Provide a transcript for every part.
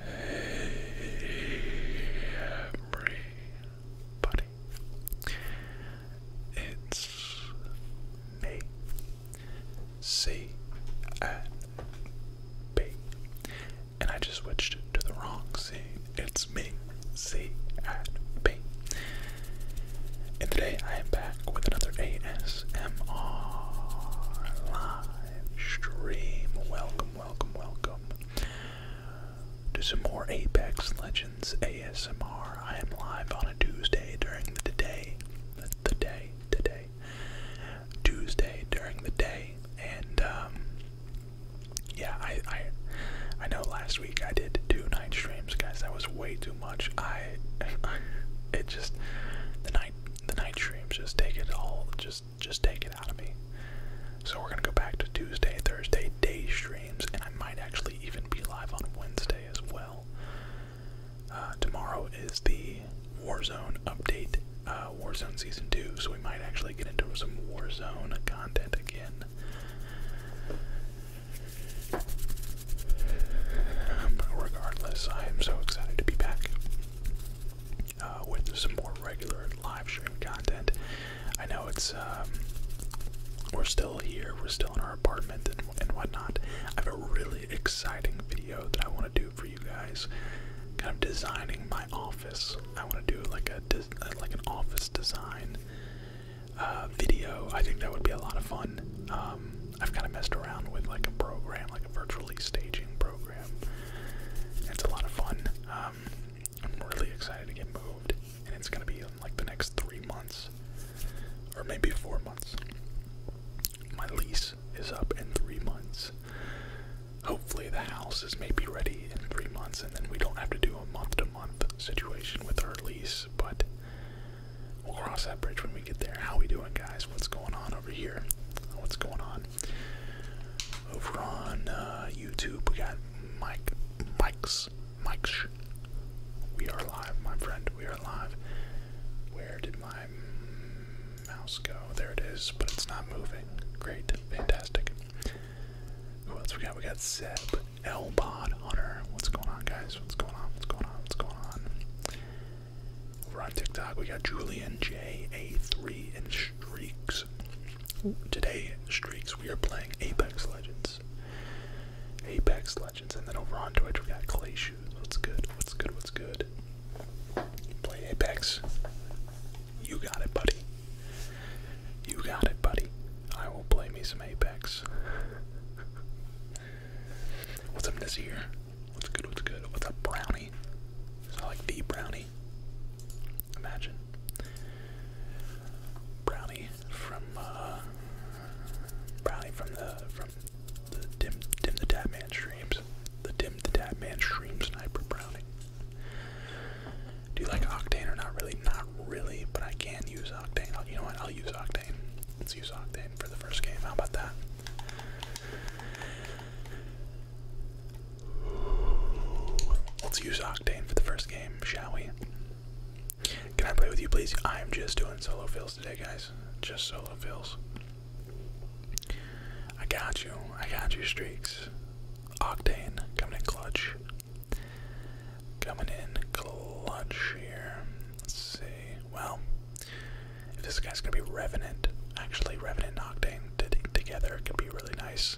Hey, everybody. It's me, C and B, and I just switched to the wrong C. It's me, C and B, and today I am back with another ASMR live stream. Welcome, welcome, welcome to some more Apex Legends ASMR. I am live on a Tuesday during the day, the day, today, Tuesday during the day, and um, yeah, I, I, I know last week I did two night streams, guys. That was way too much. I, it just the night the night streams just take it all just just take it out of me. So we're gonna go back to Tuesday, Thursday day streams, and I might actually even be live on Wednesday as well. Uh, tomorrow is the Warzone update, uh, Warzone season two, so we might actually get into some Warzone content again regardless, I am so excited to be back uh, with some more regular live stream content. I know it's, um, we're still here, we're still in our apartment and, whatnot. I have a really exciting video that I want to do for you guys. Kind of designing my office. I want to do like a like an office design uh, video. I think that would be a lot of fun. Um, I've kind of messed around with like a program, like a virtually staging program. It's a lot of fun. Um, I'm really excited to get moved, and it's gonna be in like the next three months, or maybe four months. My lease is up in three months. Hopefully, the house is maybe ready in three months, and then we don't have to do a month to month situation with our lease, but we'll cross that bridge when we we get there. How we doing, guys? What's going on over here? What's going on over on uh, YouTube? We got Mike, Mike's, Mike's. We are alive, my friend. We are alive. Where did my mouse go? There it is, but it's not moving. Great, fantastic. Who else we got? We got Seb, Elbod Hunter. What's going on, guys? What's going on? What's going on? What's going on? Over on TikTok, we got Julian J-A3 and Streaks. Today, Streaks, we are playing Apex Legends. Apex Legends. And then over on Twitch, we got Clay Shoes. What's good? What's good? What's good? Play Apex. You got it, buddy. You got it, buddy. I will play me some Apex. What's up this year? What's good? What's good? What's a brownie? It's not like the brownie. Imagine brownie from uh, brownie from the from the dim dim the tap man streams. The dim the tap man stream sniper brownie. Do you like Octane or not really? Not really, but I can use Octane. you know what? I'll use Octane. Let's use Octane for the first game. How about that? Let's use Octane for the first game, shall we? Can I play with you, please? I'm just doing solo fills today, guys. Just solo fills. I got you. I got you, Streaks. Octane coming in clutch. Coming in clutch here. Let's see. Well, if this guy's gonna be Revenant, actually Revenant and Octane together it could be really nice.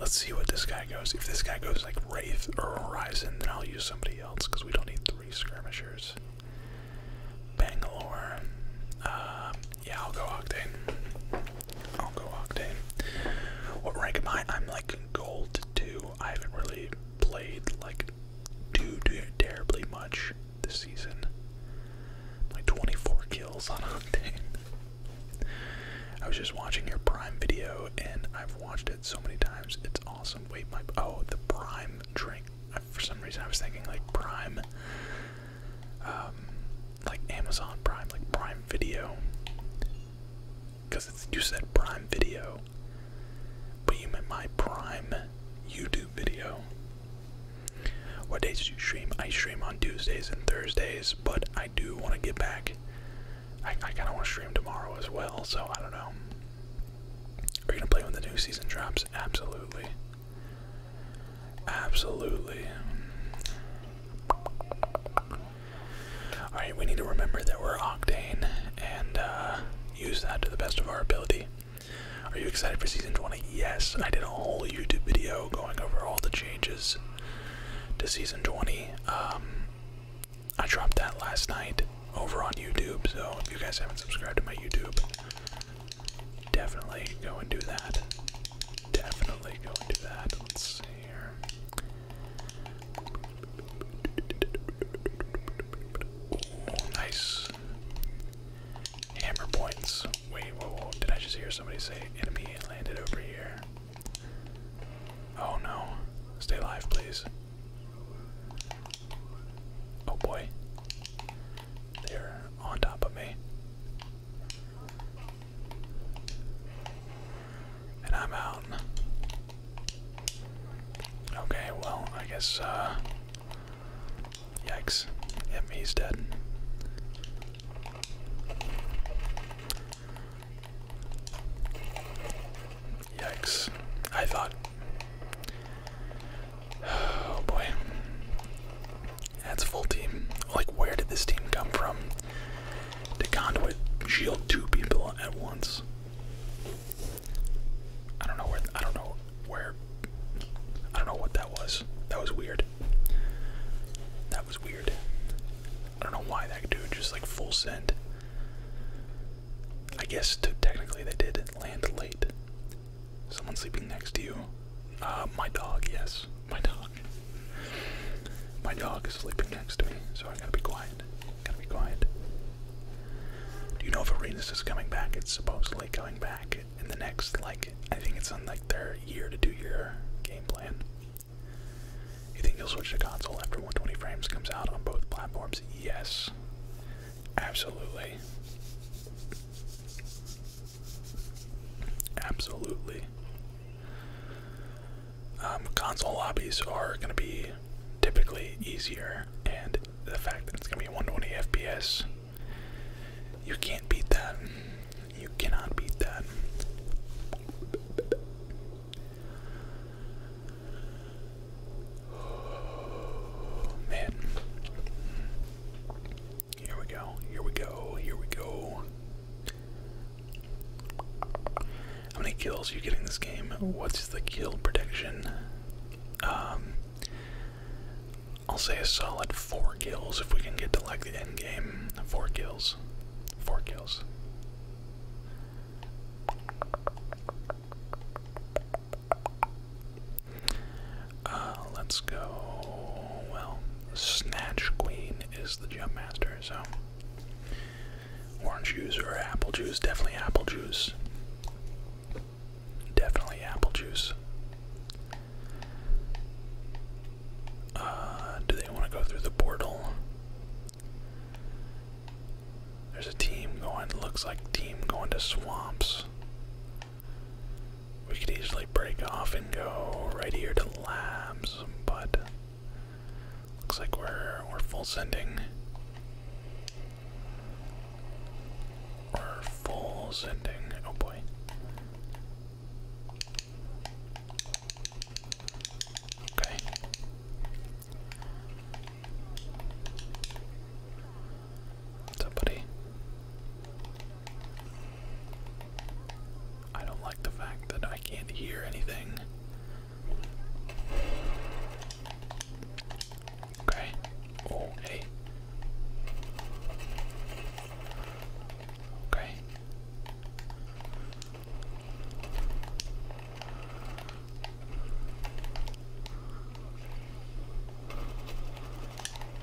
Let's see what this guy goes. If this guy goes like Wraith or Horizon, then I'll use somebody else because we don't need three skirmishers. Bangalore. Uh, yeah, I'll go Octane. I'll go Octane. What rank am I? I'm like gold two. I haven't really played like too, too terribly much this season. Like 24 kills on hunting. I was just watching your Prime video and I've watched it so many times. It's awesome. Wait, my oh, the Prime drink. for some reason, I was thinking like Prime, um, like Amazon Prime, like Prime Video. Because it's you said Prime Video, but you meant my Prime YouTube video. What days do you stream? I stream on Tuesdays and Thursdays, but I do want to get back. I, kind of want to stream tomorrow as well, so I don't know. Are you going to play when the new season drops? Absolutely. Absolutely. Alright, we need to remember that we're Octane and uh, use that to the best of our ability. Are you excited for season 20? Yes, I did a whole YouTube video going over all the changes to season 20. Um, I dropped that last night over on YouTube, so if you guys haven't subscribed to my YouTube, definitely go and do that. Definitely go and do that. Let's see here. nice points. Hammer points. Wait, Did I just hear somebody say enemy landed over here? Oh no. Stay alive, please. Oh boy. They're on top of me. And I'm out. Okay, well, I guess, uh, Yikes. Yep, he's dead. Yikes. I thought. Oh boy. That's full team. Like, where did this team come from to conduit shield two people at once? I don't know where. I don't know where I don't know what that was. That was weird. That was weird. I don't know why that dude just like full send. I guess technically they did land late. Someone sleeping next to you. Uh, my dog, yes. My dog. My dog is sleeping next to me, so I gotta be quiet. Gotta be quiet. Do you know if Arenas is coming back? It's supposedly coming back in the next like I think it's on like their year to two year game plan. You think you'll switch to console after 120 frames comes out on both platforms? Yes. Absolutely. Absolutely. Um, console lobbies are going to be typically easier, and the fact that it's going to be 120 FPS you can't beat that. You cannot beat that. man. Here we go. Here we go. Here we go. How many kills you get in this game? What's the kill prediction? Um, I'll say a solid four kills if we can get to like the end game. Four kills. Four kills. Uh, let's go. Well, Snatch Queen is the jump master, so orange juice or apple juice, definitely apple juice. Definitely apple juice. Uh, do they want to go through the portal? There's a team going, looks like team going to swamps. We could easily break off and go right here to labs, but looks like we're we're full sending. Or full sending. Oh boy. Okay. What's up, buddy? I don't like the fact that I can't hear anything. Okay. Oh, Okay.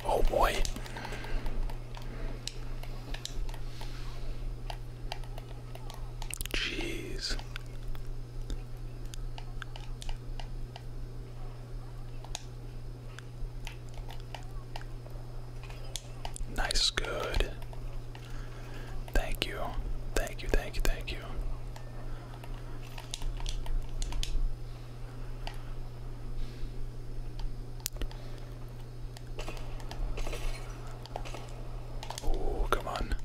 Oh boy. Jeez. Nice, good. Thank you. Thank you, thank you, thank you. Oh, come on.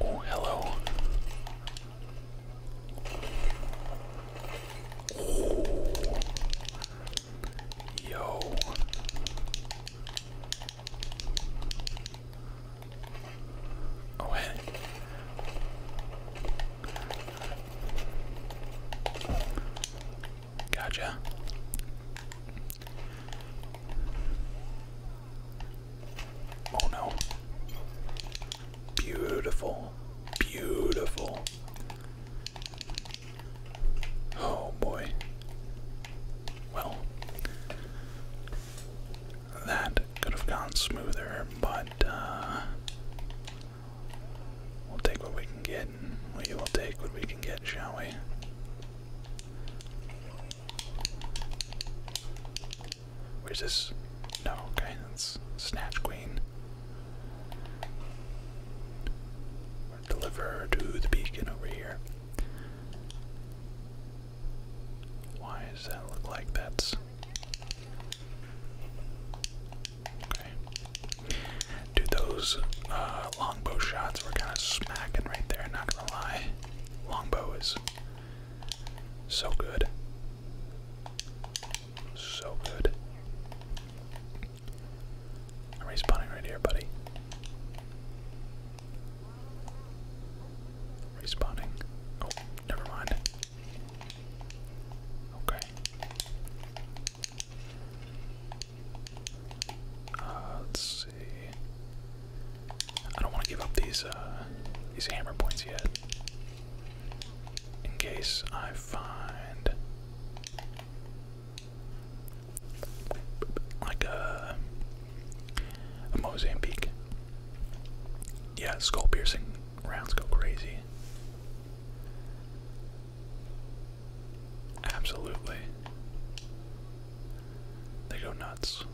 Oh, hello. Oh. Yo. Oh, hey. Gotcha. Oh no. Beautiful. Beautiful. Oh boy. Well, that could have gone smoother, but uh, we'll take what we can get. We will take what we can get, shall we? Where's this? No, okay, that's Snatch Queen. Deliver to the beacon over here. Why does that look like that's. Okay. Do those uh, longbow shots were kind of smacking right there, not gonna lie. Longbow is so good. So good. I'm respawning right here, buddy. Respawning. Oh, never mind. Okay. Uh, let's see. I don't want to give up these uh, these hammer points yet. In case I find like a, a Mozambique. Yeah, skull piercing rounds go crazy. Absolutely. They go nuts.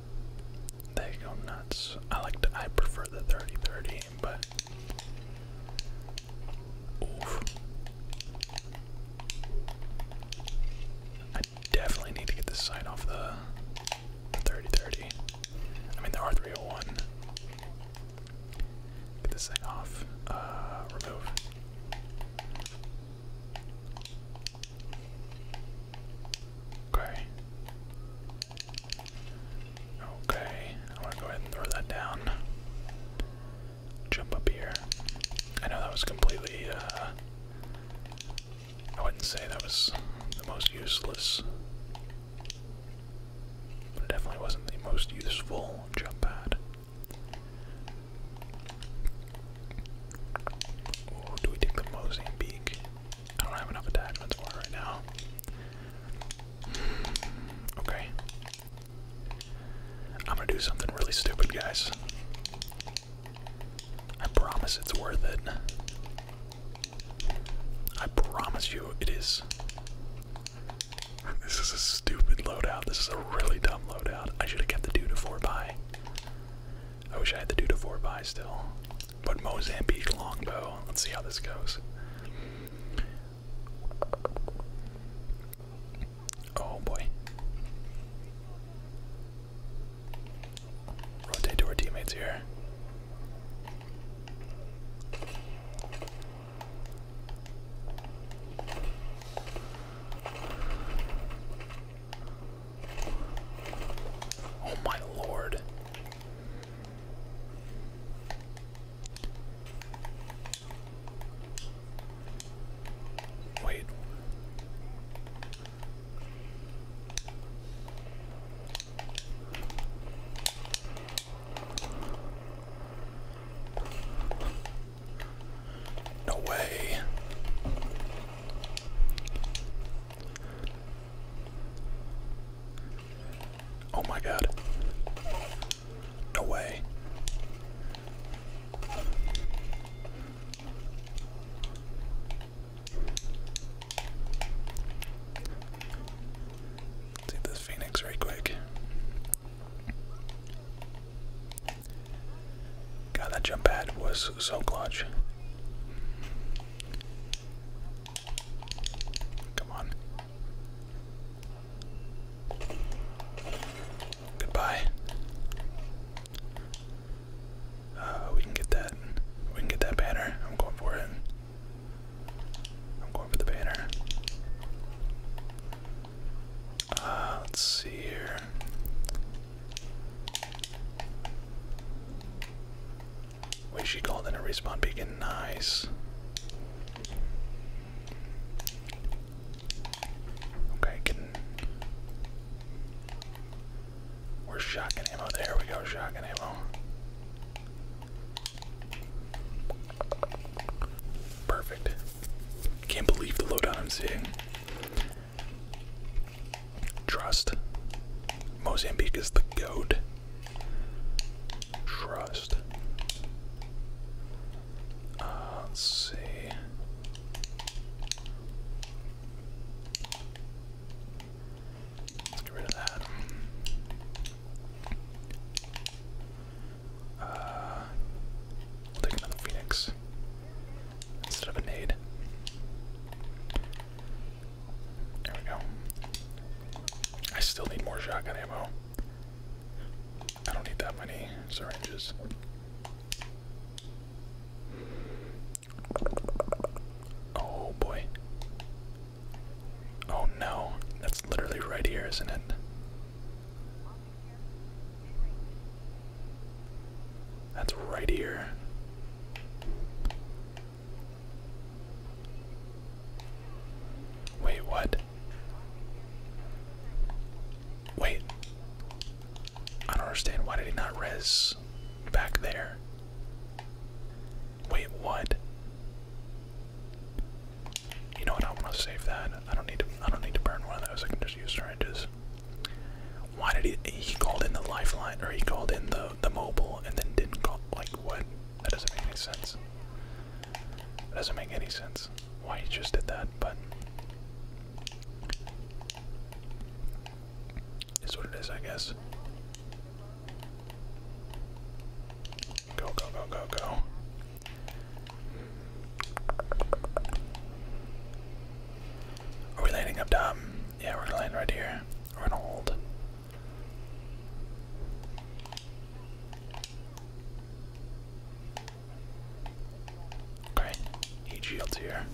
They go nuts. I like to, I prefer the 30-30, but I definitely need to get this side off the 30-30. I mean the R301. Get this thing off. Uh, remove. Okay. Okay, I'm to go ahead and throw that down. Jump up here. I know that was completely, uh, I wouldn't say that was the most useless, but definitely wasn't the most useful jump pad. do we take the Mosaic I don't have enough attachments for right now. Hmm. Okay. I'm gonna do something really stupid, guys. I promise it's worth it. I promise you it is. This is a stupid loadout. This is a really dumb loadout. I should have kept the two to 4 by. I wish I had the 2 to 4 by still. But Mozambique longbow. Let's see how this goes. Oh boy. Rotate to our teammates here. Oh my lord. Wait. No way. Oh my god. No way. let this Phoenix right quick. God, that jump pad was so clutch. Come on. Goodbye. Uh, we can get that. We can get that banner. I'm going for it. I'm going for the banner. Uh, let's see here. Wait, she called in a respawn beacon. Nice. Okay, can. Where's shotgun ammo? There we go, shotgun ammo. Perfect. Can't believe the loadout I'm seeing. Trust. Mozambique is the goat. Trust. Uh, let's see. Let's get rid of that. Uh, we'll take another Phoenix instead of a nade. There we go. I still need more shotgun ammo. I don't need that many syringes. Oh boy. Oh no, that's literally right here, isn't it? That's right here. Wait, what? Wait. I don't understand. Why did he not res back there? Wait, what? You know what? I want to save that. I don't need to. I don't need to burn one of those. I can just use syringes. Why did he? He called in the lifeline, or he called in the the mobile, and then didn't call. Like what? That doesn't make any sense. That doesn't make any sense why he just did that, but it's what it is, I guess. Go, go, go, go, go. Are we landing up top? Yeah, we're gonna land right here. We're gonna hold. Okay, eight shields here.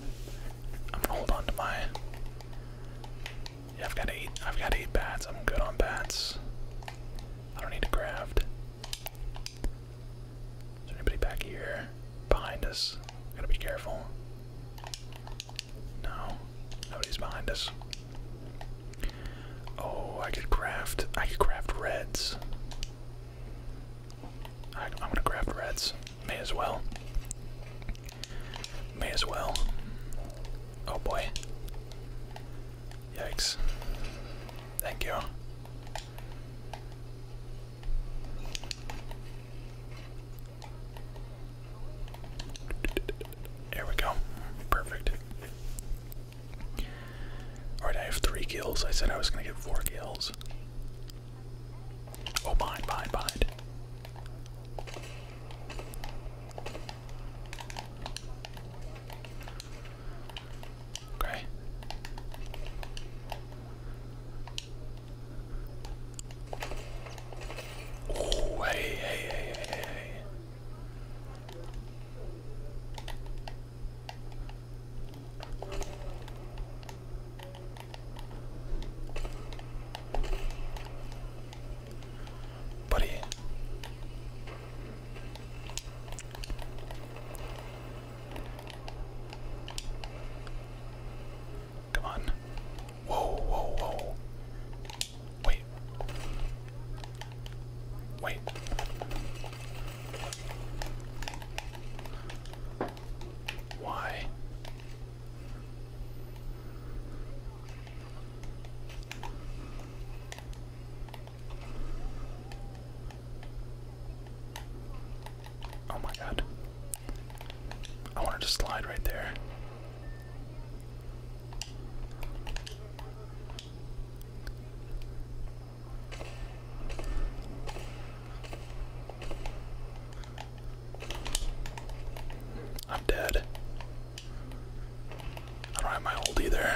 I'm gonna hold on to my. Yeah, I've got eight. I've got eight bats. I'm good on bats. I don't need to craft. Is there anybody back here behind us? Gotta be careful. No, nobody's behind us. Oh, I could craft. I could craft reds. I, I'm gonna craft reds. May as well. May as well. Oh boy. Yikes. Thank you. There we go. Perfect. Alright, I have three kills. I said I was gonna get four kills. Oh, behind, behind, behind. Okay hey, hey, hey, hey, hey. Buddy. Come on. Whoa, whoa, whoa. Wait. Wait. Why? Oh my god. I wanted to slide right there. I'm dead. I don't have my ult either.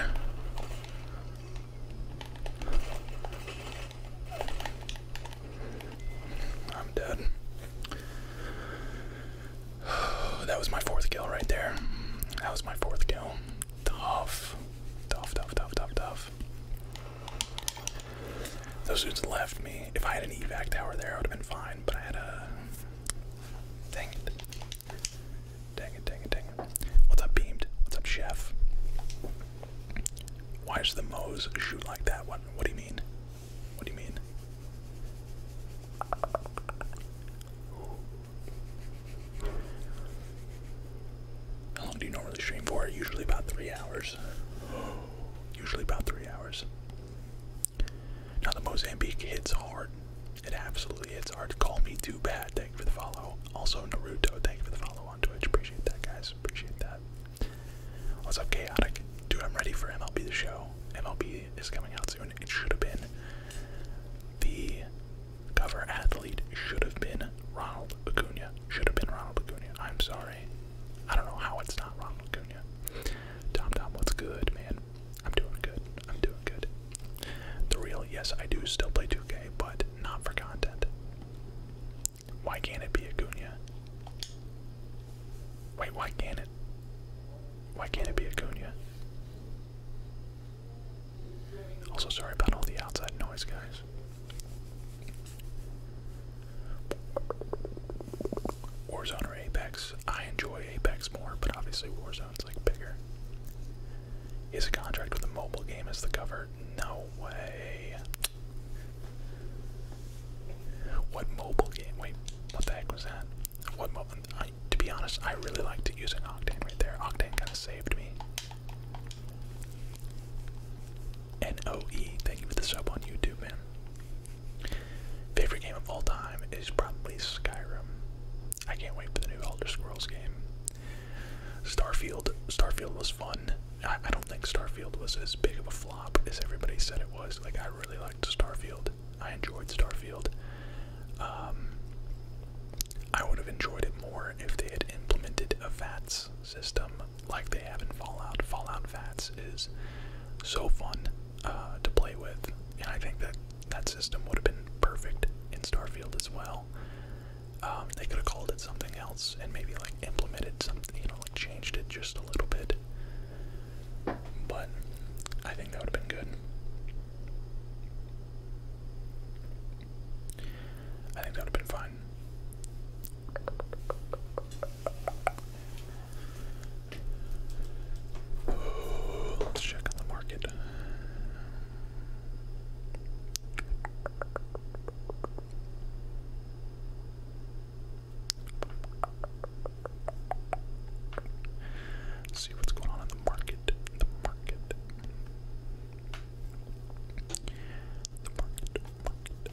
I'm dead. that was my fourth kill right there. That was my fourth kill. Tough. Tough, tough, tough, tough, tough. Those dudes left me. If I had an evac tower there, I would have been fine, but I had a. Dang it. Dang it, dang it, dang it. What's up, Beamed? What's up, Chef? Why does the Moe's shoot like that? What, what do you mean? What do you mean? How long do you normally stream for? Usually about three hours. Usually about three hours. Now the Mozambique hits hard. It absolutely hits hard. Call me too bad. Thank you for the follow. Also Naruto, thank you for the follow on Twitch. Appreciate that guys. Appreciate that. What's up, chaotic? Dude, I'm ready for MLB the show. MLB movie is coming out soon. It should have been the cover athlete should have been Ronald Acuna. Should have been Ronald Acuna. I'm sorry. I don't know how it's not Ronald Acuna. Tom Tom, what's good, man? I'm doing good. I'm doing good. The real, yes, I do still play 2K, but not for content. Why can't it be Acuna? Wait, why can't it? Why can't it be Acuna? Also, sorry about all the outside noise, guys. Warzone or Apex? I enjoy Apex more, but obviously Warzone's like bigger. Is a contract with a mobile game as the cover? No way. What mobile game? Wait, what the heck was that? What mobile? to be honest, I really liked using Octane right there. Octane kind of saved me. N-O-E, thank you for the sub on YouTube, man. Favorite game of all time is probably Skyrim. I can't wait for the new Elder Scrolls game. Starfield, Starfield was fun. I don't think Starfield was as big of a flop as everybody said it was. Like I really liked Starfield. I enjoyed Starfield. Um, I would have enjoyed it more if they had implemented a VATS system like they have in Fallout. Fallout VATS is so fun uh, to play with, and I think that that system would have been perfect in Starfield as well. Um, they could have called it something else and maybe like implemented something, you know, like changed it just a little bit. But I think that would have been good. I think that would have been fine. let's check on the market. Let's see what's going on in the market. The market. The market.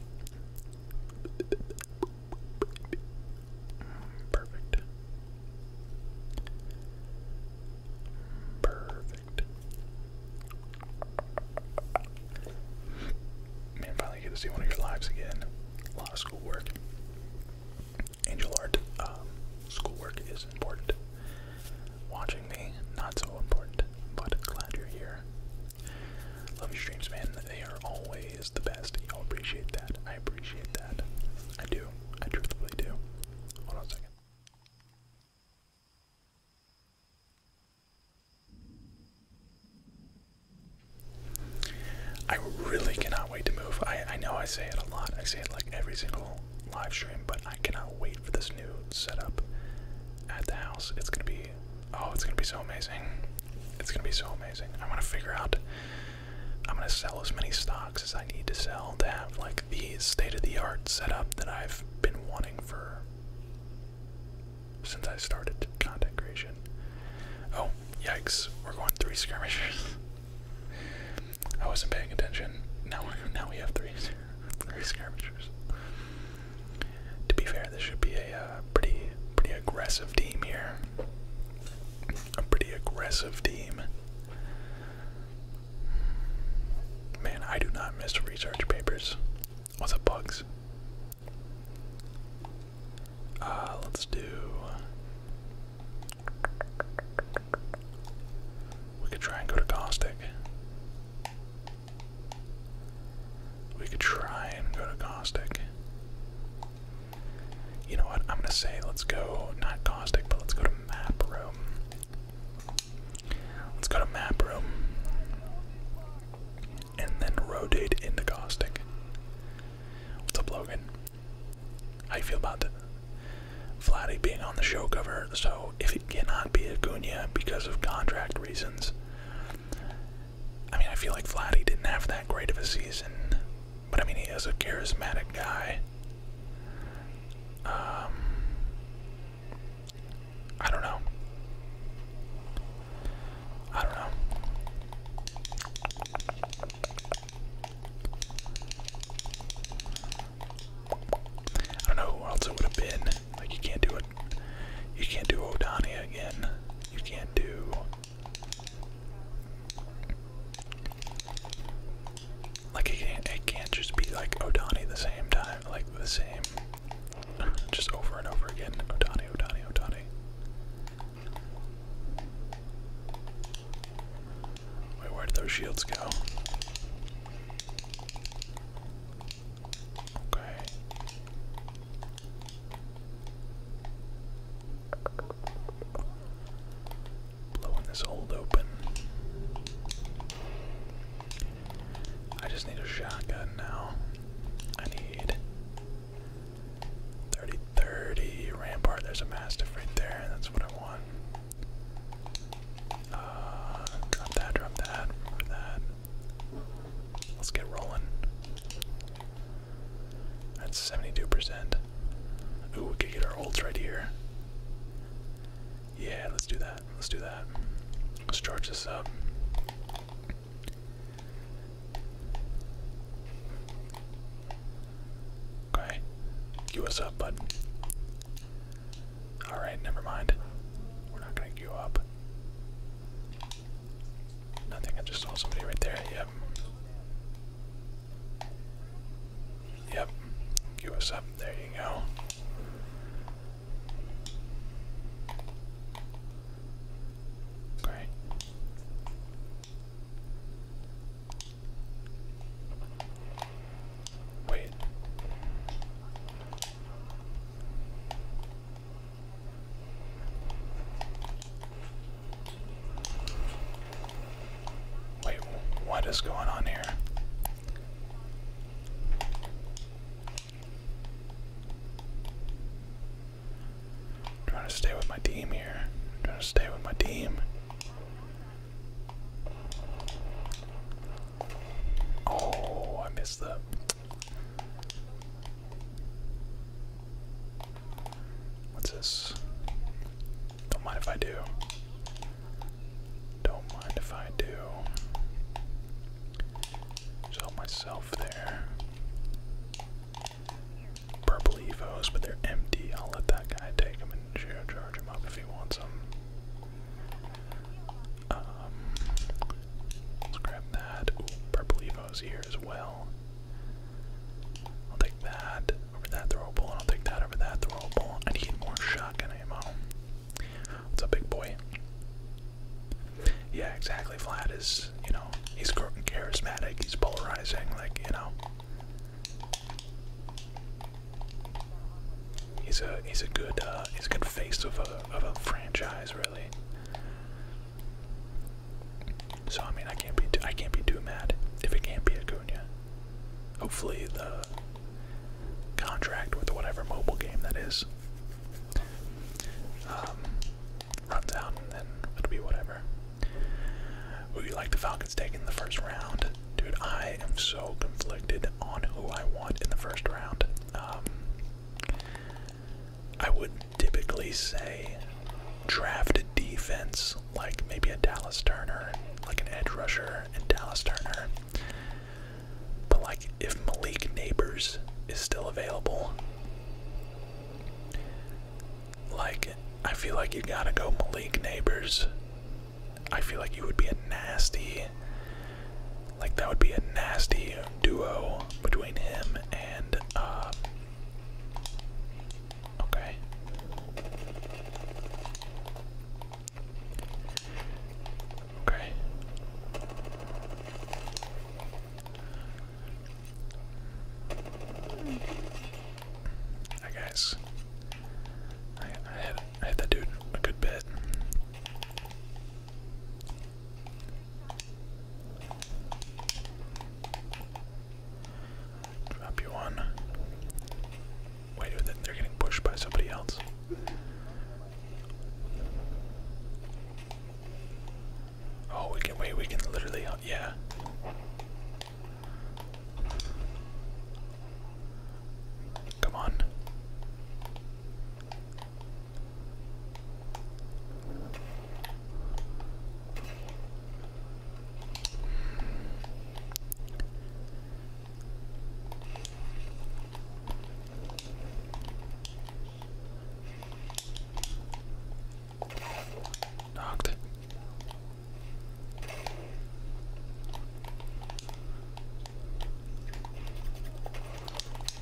Perfect. Perfect. Man, finally get to see one of your lives again. A lot of schoolwork. Angel art, um, schoolwork is important. Watching me, not so important, but glad you're here. Love your streams, man. They are always the best. Y'all appreciate that. I appreciate that. I do. I truthfully do. Hold on a second. I really cannot wait to move. I, I know I say it a lot. I say it like every single live stream, but I cannot wait for this new setup at the house. It's gonna be oh, it's gonna be so amazing. It's gonna be so amazing. I'm gonna figure out I'm gonna sell as many stocks as I need to sell to have like the state-of-the-art setup that I've been wanting for since I started content creation. Oh, yikes, we're going three skirmishers. I wasn't paying attention. Now, now we have three, three skirmishers. To be fair, this should be a uh, pretty, pretty aggressive team here. A pretty aggressive team. Man, I do not miss research papers. What's up, bugs? Uh, let's do. We could try and go to Caustic. We could try and go to Caustic. You know what? I'm gonna say let's go not Caustic, but let's go to Map Room. Let's go to Map Room. And then rotate into Caustic. What's up, Logan? How you feel about that? being on the show cover, so if it cannot be Acuna because of contract reasons, I mean, I feel like Vladdy didn't have that great of a season, but I mean, he is a charismatic guy. Um, I don't know. I don't know. I don't know who else it would have been. Like you can't do it. You can't do Odania again. You can't do. Like it can't, it can't just be like Odani the same time, like the same, just over and over again. Odani, Odani, Odani. Wait, where did those shields go? Okay. Blowing this old open. I just need a shotgun now. I need 30 30 rampart. There's a mastiff right there, that's what I want. Uh, drop that, drop that, remove that. Let's get rolling. That's 72%. Ooh, we could get our ults right here. Yeah, let's do that. Let's do that. Let's charge this up. Okay. Queue us up, bud. Alright, never mind. We're not gonna queue up. Nothing, I just saw somebody right there. Yep. Yep. Queue us up. There you go. Okay. Wait. Wait, what is going on here? I'm trying to stay with my team here. I'm trying to stay with my team. Oh, I missed that. What's this? Don't mind if I do. Don't mind if I do. Just myself there. Purple evos, but they're empty. I'll let that guy take them charge him up if he wants him. Um, let's grab that. purple evo's here as well. I'll take that over that throwable, I'll take that over that throwable. I need more shotgun ammo. What's up, big boy? Yeah, exactly. Flat is, you know, he's charismatic, he's polarizing, like, you know, He's a he's a good uh, he's a good face of a of a franchise really. So I mean I can't be I can't be too mad if it can't be Acuna. Hopefully the contract with whatever mobile game that is um, runs out and then it'll be whatever. Would you like the Falcons taking the first round? Dude, I am so conflicted on who I want in the first round. Um, I would typically say draft a defense, like maybe a Dallas Turner, like an edge rusher and Dallas Turner. But like if Malik Neighbors is still available, like I feel like you gotta go Malik Neighbors I feel like you would be a nasty, like that would be a nasty duo between him and, uh, okay. Okay. I guess I, had had that dude a good bit. Drop you one. Wait, they're getting pushed by somebody else. Oh, we can wait. We can literally, yeah. Come on. Knocked.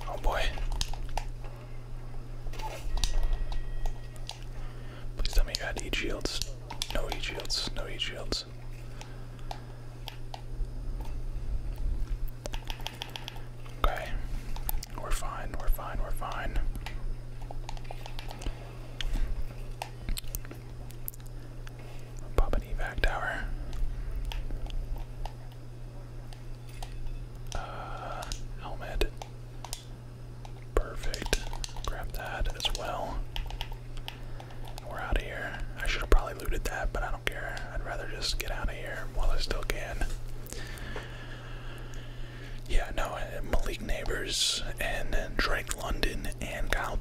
Oh boy. Please tell me you had E shields. No E shields. No E shields. Okay. We're fine. We're fine. We're fine. Pop an evac tower. Uh, helmet. Perfect. Grab that as well. We're out of here. I should have probably looted that, but I don't care. I'd rather just get out of here while I still can. Yeah, no, uh, Malik Neighbors and Drake London and Kyle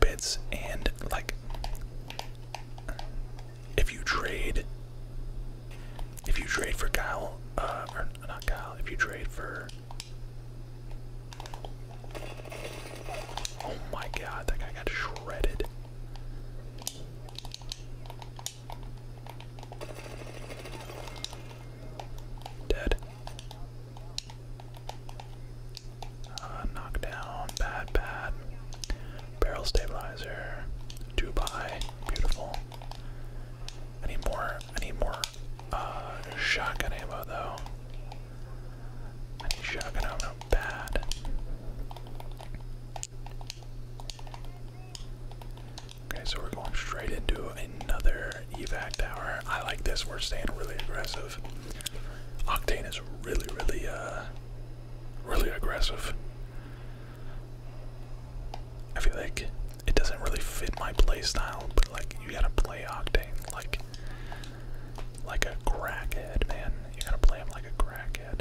and like if you trade, if you trade for Kyle, uh, not Kyle, if you trade for. Oh my god, that guy got shredded. Dead. Uh, knockdown, bad, bad. Barrel stabilizer. Dubai, beautiful. I need more. I need more uh, shotgun ammo though. I need shotgun ammo bad. Okay, so we're going straight into another evac tower. I like this. We're staying really aggressive. Octane is really, really, uh, really aggressive. I feel like it doesn't really fit my playstyle, but like you gotta play Octane like like a crackhead, man. You gotta play him like a crackhead.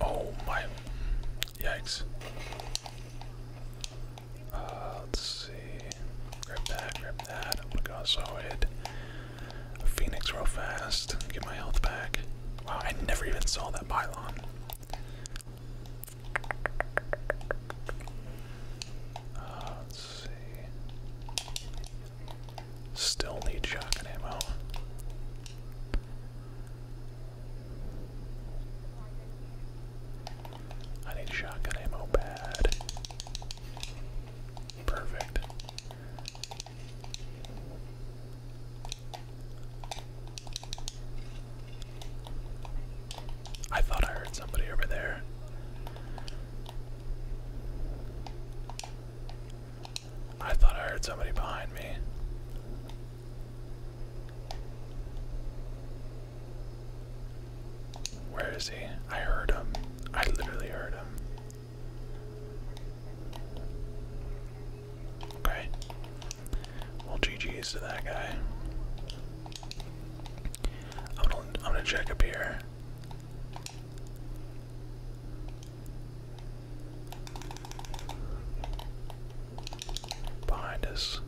Oh my. Yikes. Uh, let's see. Grab that, grab that. I'm gonna also phoenix real fast. Get my health back. Wow, I never even saw that pylon. Uh, let's see. Still need shotgun ammo. I need shotgun ammo bad. Perfect. I thought I heard somebody over there. I thought I heard somebody behind me. Where is he? I heard him. I literally heard him. Okay. Well, GG's to that guy. I'm gonna, I'm gonna check up here. Behind us.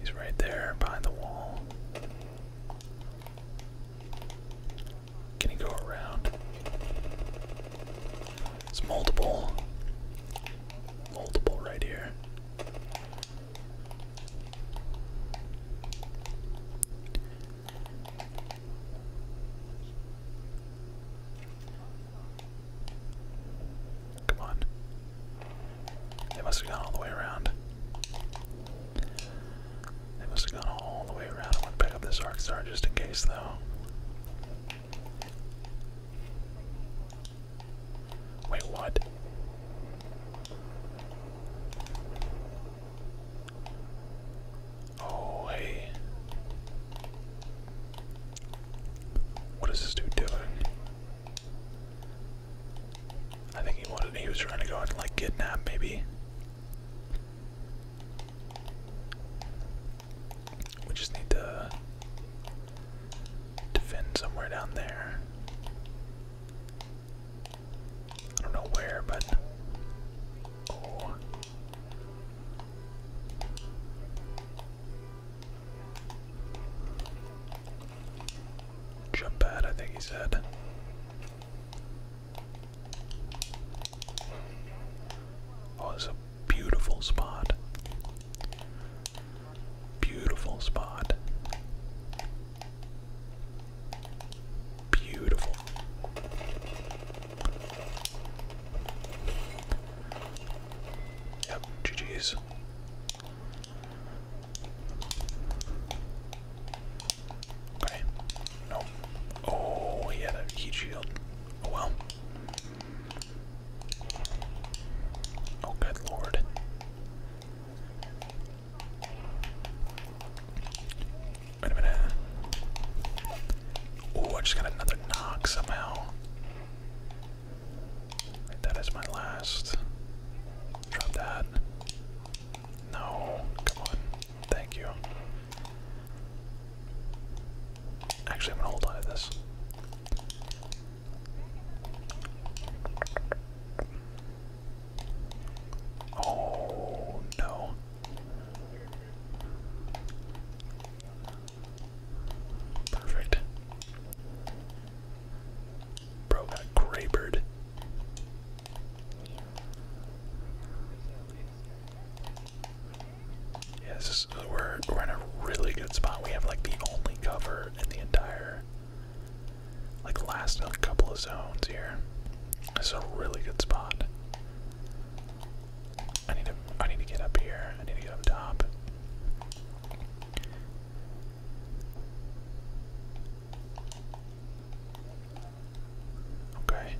He's right there behind the wall. Can he go around? It's multiple. Multiple right here. Come on. They must have gone all the way around. They must have gone all the way around. I want to pick up this Arc Star just in case, though. Wait, what? Oh, hey. What is this dude doing? I think he wanted, he was trying to go and like kidnap maybe. We just need to defend somewhere down there. I don't know where, but oh. Jump pad, I think he said. Oh, it's a beautiful spot. Beautiful spot. Beautiful. Yep, GG's. Okay. No. Oh, he had a heat shield. Oh well. Oh, good lord. Wait a minute. Oh, I just got another knock somehow. That is my last. Drop that. No, come on. Thank you. Actually, I'm gonna hold on to this. Oh no. Perfect. Bro got grabered. Yeah, we're we're in a really good spot. We have like the only cover in the entire like last couple of zones here. This is a really good spot. I need to I need to get up here. I need to get up top. Okay.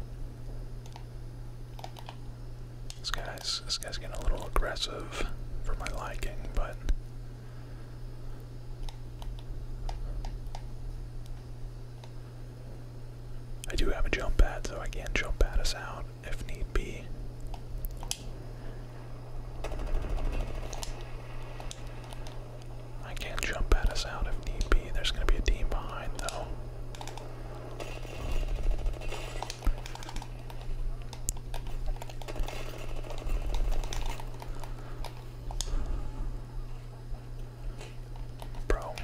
This guy's this guy's getting a little aggressive for my liking, but I do have a jump pad, so I can jump at us out if need be. I can jump pad us out if need be. There's going to be a team behind, though. Bro.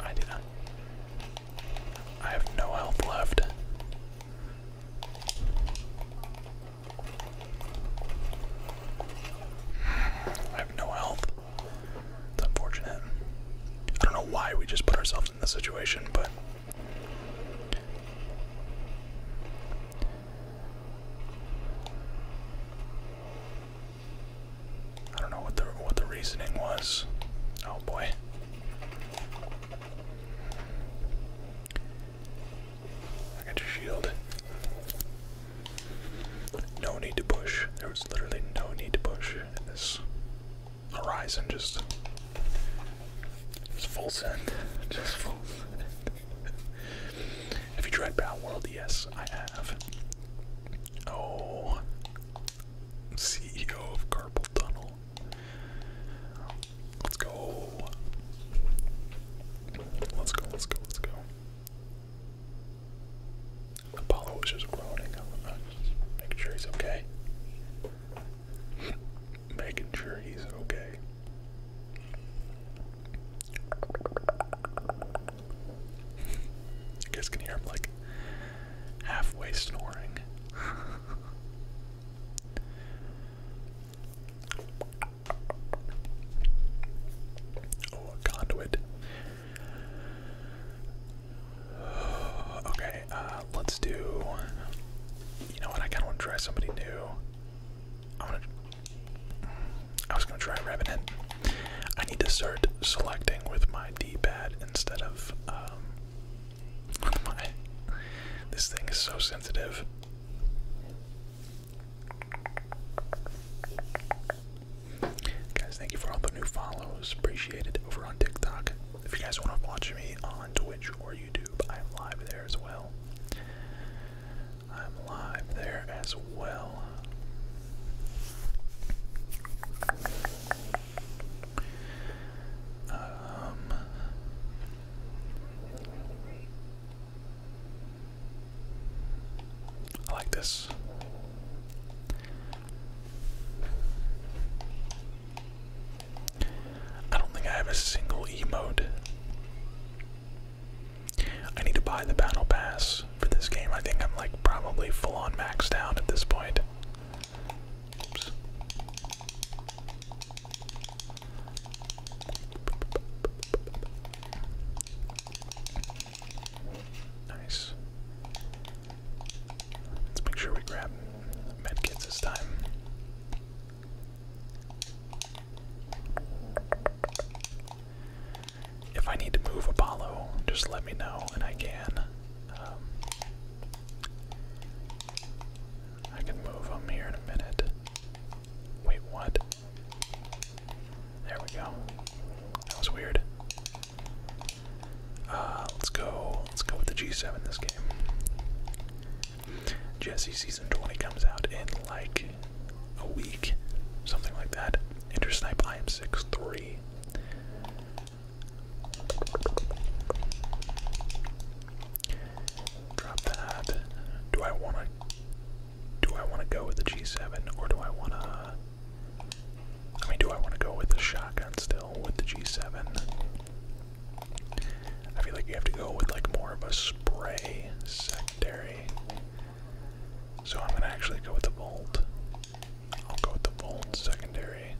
I did not. I have no health left. I have no health. It's unfortunate. I don't know why we just put ourselves in this situation, but I don't know what the what the reasoning was. Oh boy. I got your shield. No need to push. There was literally no need to push in this horizon. Just, just full send. Just full send have you tried Power World? Yes, I have. Oh, CEO of Carpal Tunnel. Let's go. Let's go, let's go, let's go. Apollo was just groaning. Make sure he's okay making sure he's okay. You guys can hear him like halfway snoring. oh, conduit. Okay, uh, let's do. You know what? I kind of want to try somebody new. I was gonna try rabbit in. I need to start selecting with my D-pad instead um, of my. This thing is so sensitive. Guys, thank you for all the new follows. Appreciate over on TikTok. If you guys want to watch me on Twitch or YouTube, I'm live there as well. I'm live there as well. Um, I like this. I don't think I have a single emote I need to buy the battle pass for this game. I think I'm like probably full on maxed out at this point. Nice. Let's make sure we grab medkits this time. If I need to move Apollo, just let me know and I can. Um, I can move him here in a minute. Wait, what? There we go. That was weird. Uh, let's go. Let's go with the G7 this game. Jesse season 20 comes out in like a week, something like that. Enter snipe. I am 6'3. Drop that. Do I wanna do I wanna go with the G7 or do I wanna I mean do I wanna go with the shotgun still with the G7? I feel like you have to go with like more of a spray secondary. So I'm gonna actually go with the bolt. I'll go with the bolt secondary.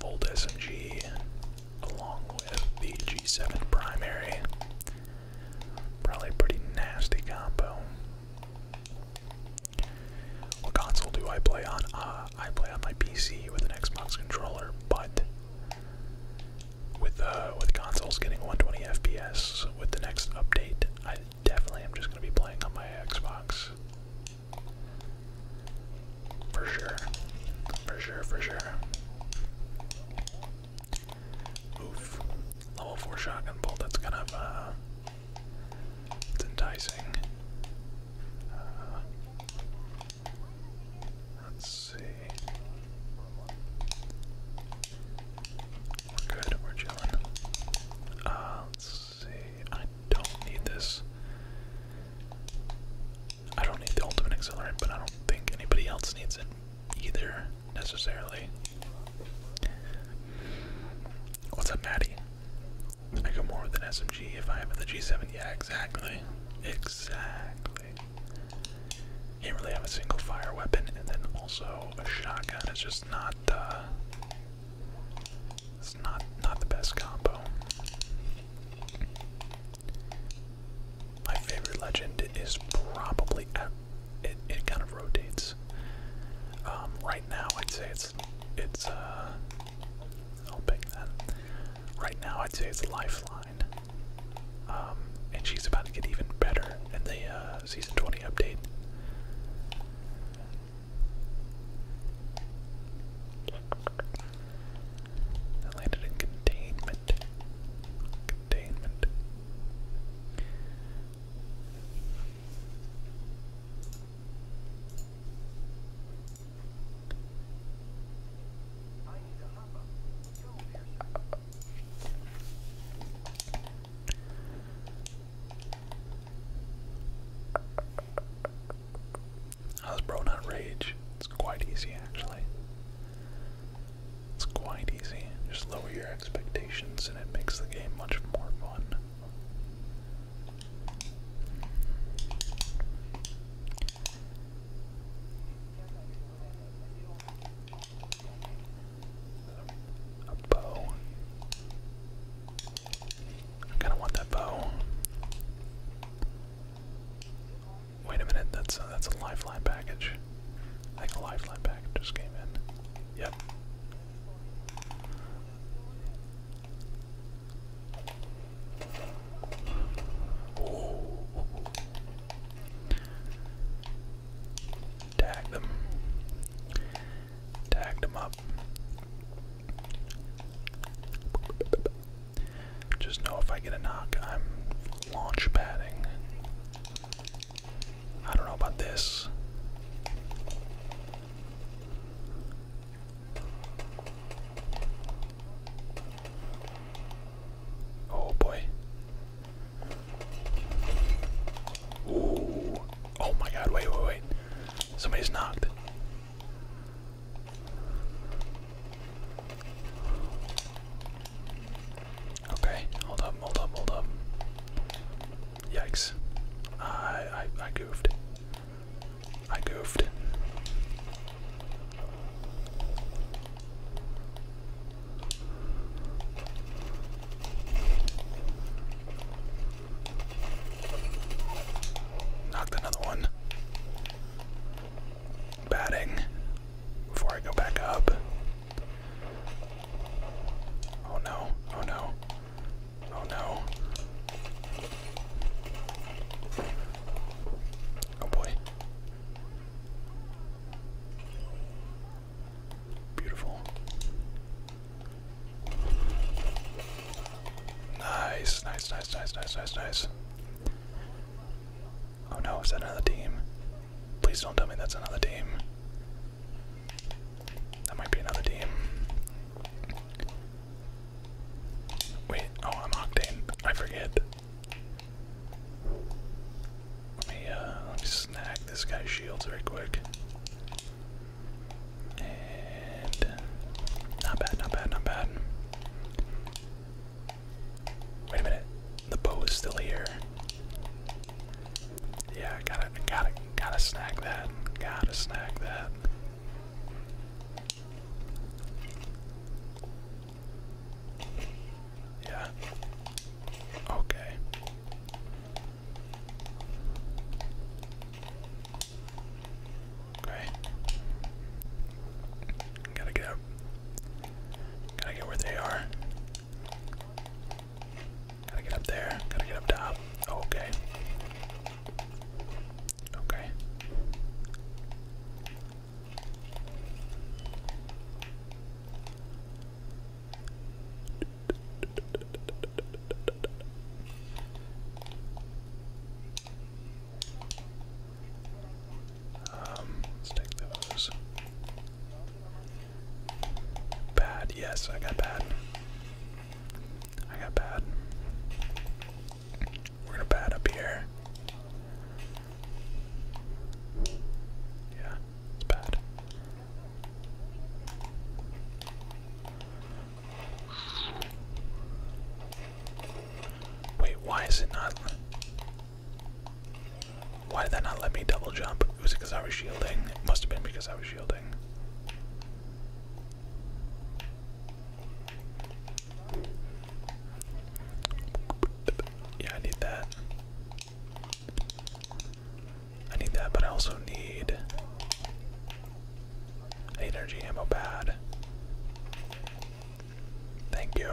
Volt SMG along with the G7 primary. Probably a pretty nasty combo. What console do I play on? Uh, I play on my PC with an Xbox controller, but with uh, with consoles getting 120 FPS with the next update, I definitely am just gonna be playing on my Xbox. For sure. For sure, for sure. Oof. Level 4 shotgun bolt, that's kind of, uh, it's enticing. Uh, Let's see. We're good, we're chilling. Uh, let's see. I don't need this. I don't need the ultimate accelerant, but I don't think anybody else needs it either, necessarily. What's up, Maddie? I go more with an SMG if I have the G7. Yeah, exactly. Exactly basically. He not really have a single fire weapon, and then also a shotgun It's just not uh, it's not not the best combo. My favorite legend is probably uh, it it kind of rotates. Um, right now I'd say it's it's uh, I'll pick that. Right now I'd say it's lifeline. Um, and she's about to get even better in the uh, season 20 update. I landed in containment. Containment. How's bro not rage? It's quite easy actually. It's quite easy. Just lower your expectations and it makes the game much more fun. A bow. I kind of want that bow. Wait a minute, that's a, that's a lifeline package. I think a lifeline package just came in. Yep. Oh. Tag them. Tag them up. Just know if I get a knock, I'm launch padding. I don't know about this. Oh boy. Ooh. Oh my god, wait, wait, wait. Somebody's knocked. Okay, hold up, hold up, hold up. Yikes. I, I, I goofed. I goofed. Knocked another one. Batting before I go back up. Oh no, oh no, oh no. Oh boy. Beautiful. Nice, nice, nice, nice, nice, nice, nice. Oh no, is that another team? Please don't tell me that's another team. That might be another team. Wait, oh, I'm Octane. I forget. Let me, uh, let me snag this guy's shields very quick. And not bad, not bad, not bad. Wait a minute, the bow is still here. Yeah, gotta, gotta, gotta snag that. Gotta snag that. Yeah. Okay. Okay. Gotta get up. Gotta get where they are. Gotta get up there. Gotta get up top. Okay. Okay. Um, let's take those. Bad, yes, I got bad. I got bad. We're gonna bad up here. Yeah, it's bad. Wait, why is it not? Why did that not let me double jump? It Was because I was shielding? It must have been because I was shielding. Yeah, I need that. I need that, but I also need I energy ammo pad. Thank you.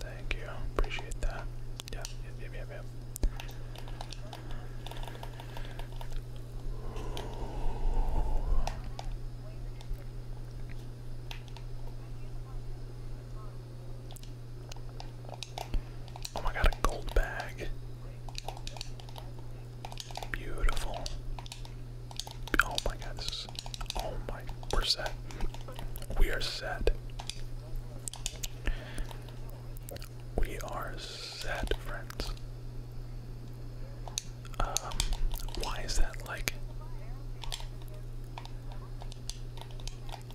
Thank you. Appreciate that. Yep, Oh my god, a gold bag. Beautiful. Oh my god, this Oh my. We're set. We are set. We are set, friends. Um, why is that like.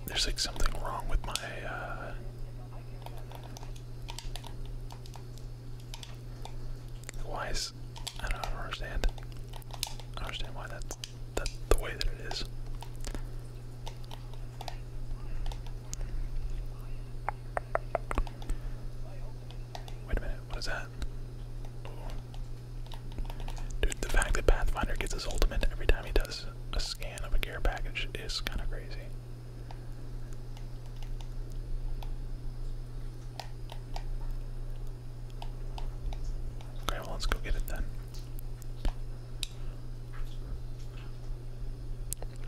There's like something wrong with my uh why is I don't, understand. I understand why that's the way that it is. Wait a minute, what is that? Dude, the fact that Pathfinder gets his ultimate every time he does a scan of a gear package is kind of crazy. Okay, well, let's go get it then.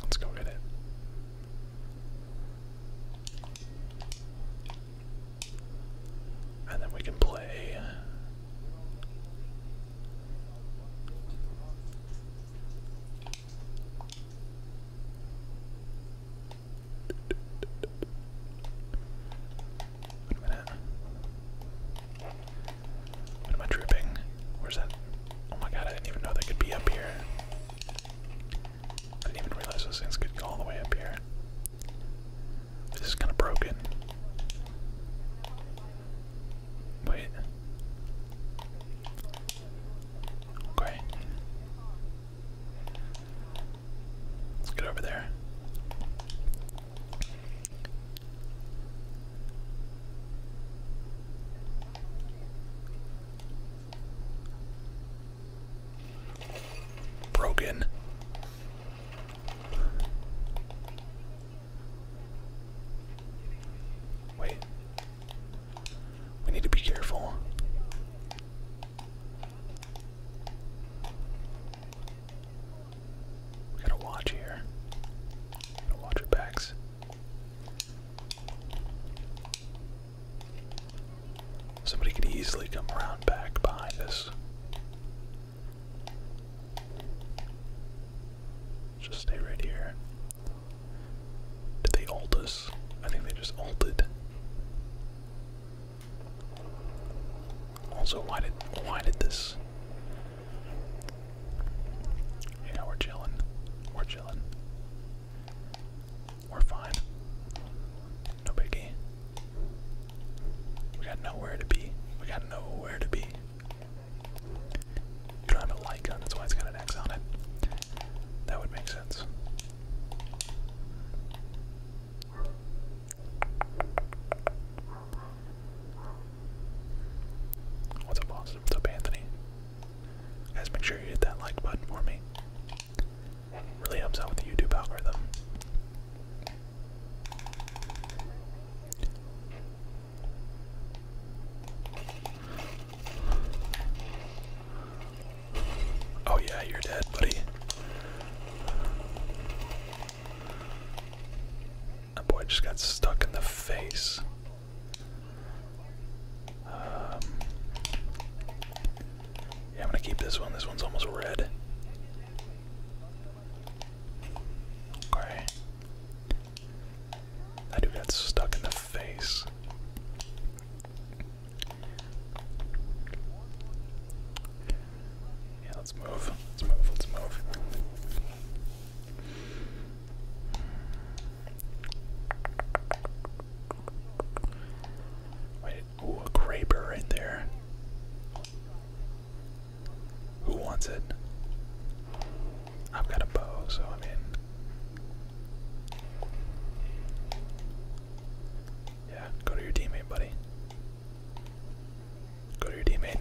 Let's go get it. And then we can play. What am I drooping? Where's that? Oh my god, I didn't even know they could be up here. I didn't even realize those things could go all the way up here. This is kind of broken. Wait. Okay. Let's get over there. Broken. Wait. We need to be careful. We gotta watch here. Gotta watch our backs. Somebody could easily come around back behind us. Just stay right here. Did they ult us? I think they just ulted. Also, why did why did this? Yeah, we're chilling. We're chilling. We're fine. No biggie. We got nowhere to be. We got nowhere to be. You don't have a light gun, that's why it's got an X on it. That would make sense. What's up, boss? What's up, Anthony? Guys, make sure you hit that like button for me. Really helps out with the YouTube algorithm. Oh, yeah, you're dead, buddy. That boy just got stuck in the face. Um, yeah, I'm gonna keep this one. This one's almost red. Okay. That dude got stuck in the face. Yeah, let's move. Let's move. Let's move. Wait, ooh, a Graber right there. Who wants it? I've got a bow, so I mean. Yeah, go to your teammate, buddy. Go to your teammate.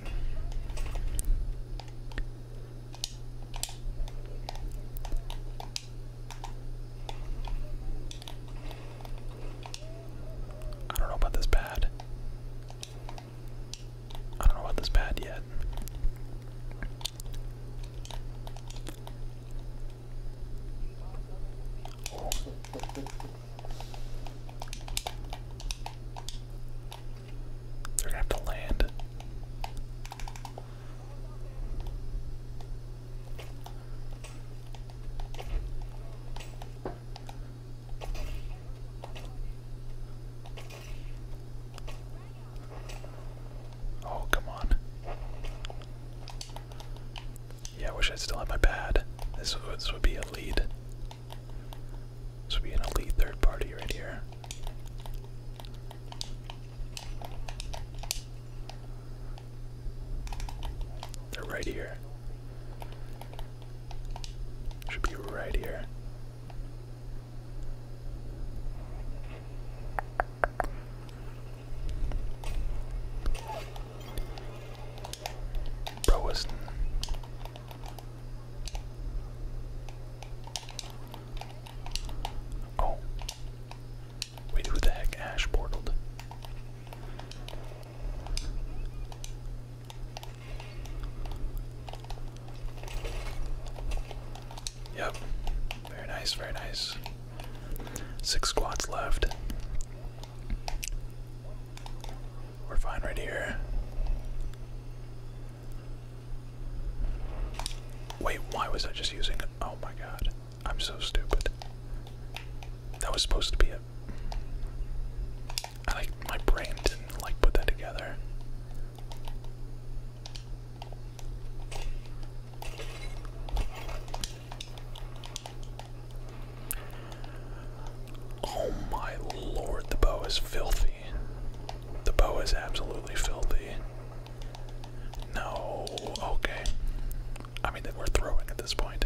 I don't know about this pad. I don't know about this pad yet. They're gonna have to land. Oh, come on. Yeah, I wish I still had my pad. This would, be a lead. This would be an elite third party right here. They're right here. Should be right here. Bro Weston. Oh. Wait, who the heck ash portaled? Yep. Very nice, very nice. Six squads left. We're fine right here. Wait, why was I just using it? Oh my god. I'm so stupid. That was supposed to be it. I my brain didn't like put that together. Oh my lord, the bow is filthy. The bow is absolutely filthy. No, okay. I mean, we're throwing at this point.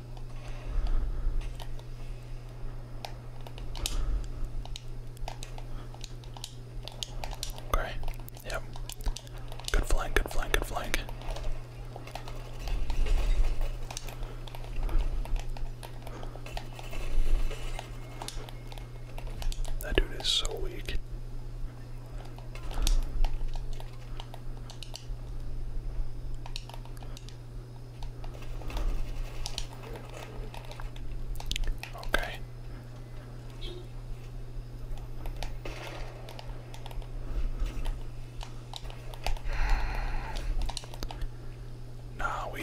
Okay. Yep. Good flank, good flank, good flank. That dude is so weak. Okay. Nah, we.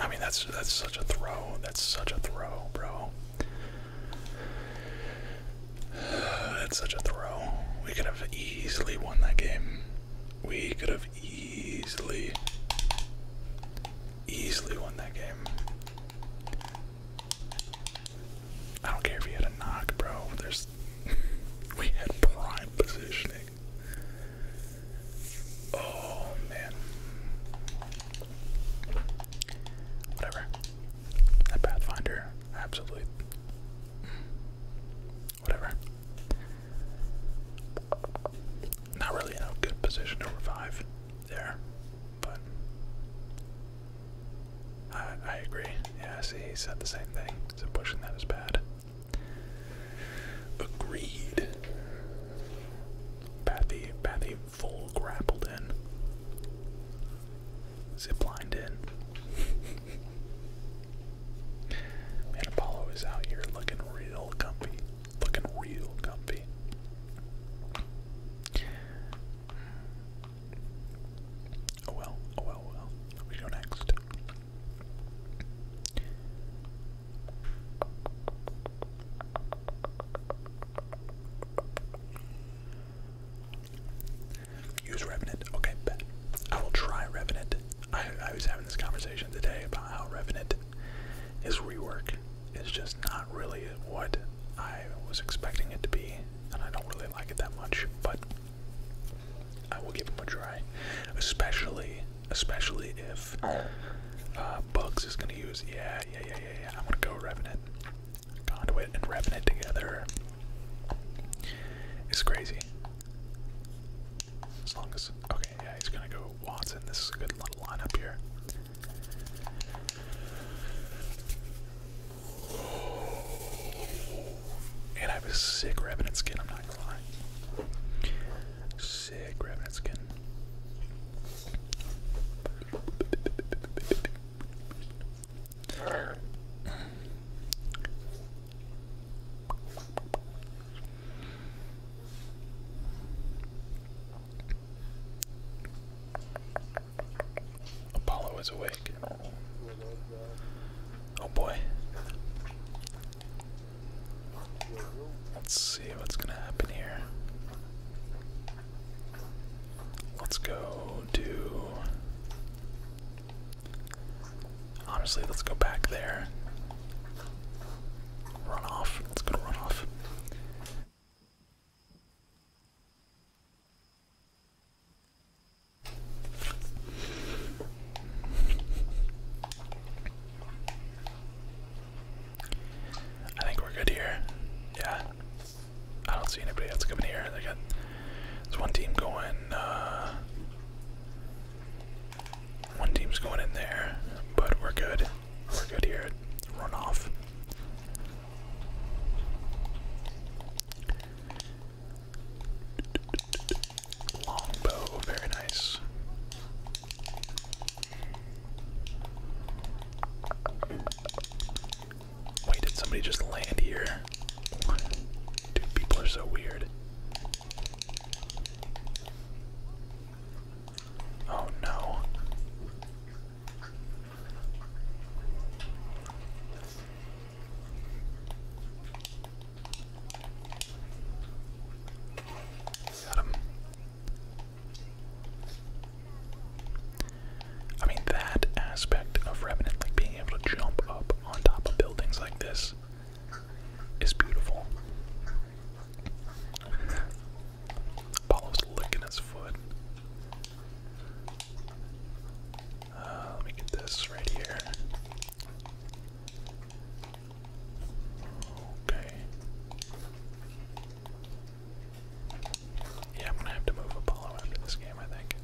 I mean, that's that's such a throw. That's such a throw, bro. That's such a throw. We could have easily won that game. We could have easily, easily won that game. I don't care if you had a knock, bro. There's, we had prime positioning. Oh man. Whatever. That Pathfinder, absolutely. Whatever. Not really in a good position to revive there, but I, I agree. Yeah, see, he said the same thing, so pushing that is bad. Agreed. Pathy, Pathy full grappled in. Ziplined in. Man, Apollo is out here looking real comfy. Looking real comfy. Oh well, oh well, well. We go next. Use Revenant. Okay, I will try Revenant. I, was having this conversation today about how Revenant is rework. Is just not really what I was expecting it to be, and I don't really like it that much, but I will give him a try. Especially especially if uh, Bugs is gonna use yeah, yeah, yeah, yeah, I'm gonna go Revenant. Conduit and Revenant together is crazy. As long as okay, yeah, he's gonna go Watson. This is a good little lineup here. And I have a sick Revenant skin, I'm not gonna lie. Sick Revenant skin. Apollo is awake. Oh boy. Let's see what's gonna happen here. Let's go do. Honestly, let's go back there. Runoff. Let's go to runoff. I think we're good here. Yeah. I don't see anybody else coming here. They got there's one team going. Uh, one team's going in there, but we're good. We're good here. Run off. Longbow, very nice. Wait, did somebody just land here? Dude, people are so weird. Oh no. Got him. I mean, that aspect of Remnant, like being able to jump up on top of buildings like this, is beautiful. Apollo's licking his foot. Uh, let me get this right here. Okay. Yeah, I'm gonna have to move Apollo after this game, I think.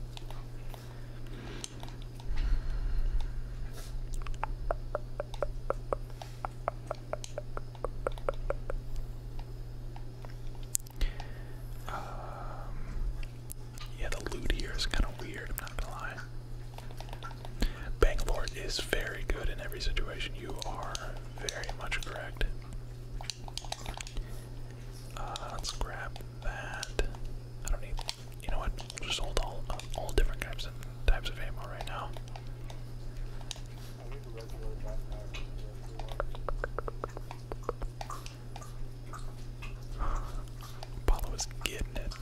Um, yeah, the loot here is kind of weird, I'm not gonna lie. Bangalore is very good in every situation. You are very much correct. Uh, let's grab that. I don't need. You know what? just hold all all different types of types of ammo right now. Apollo is getting it.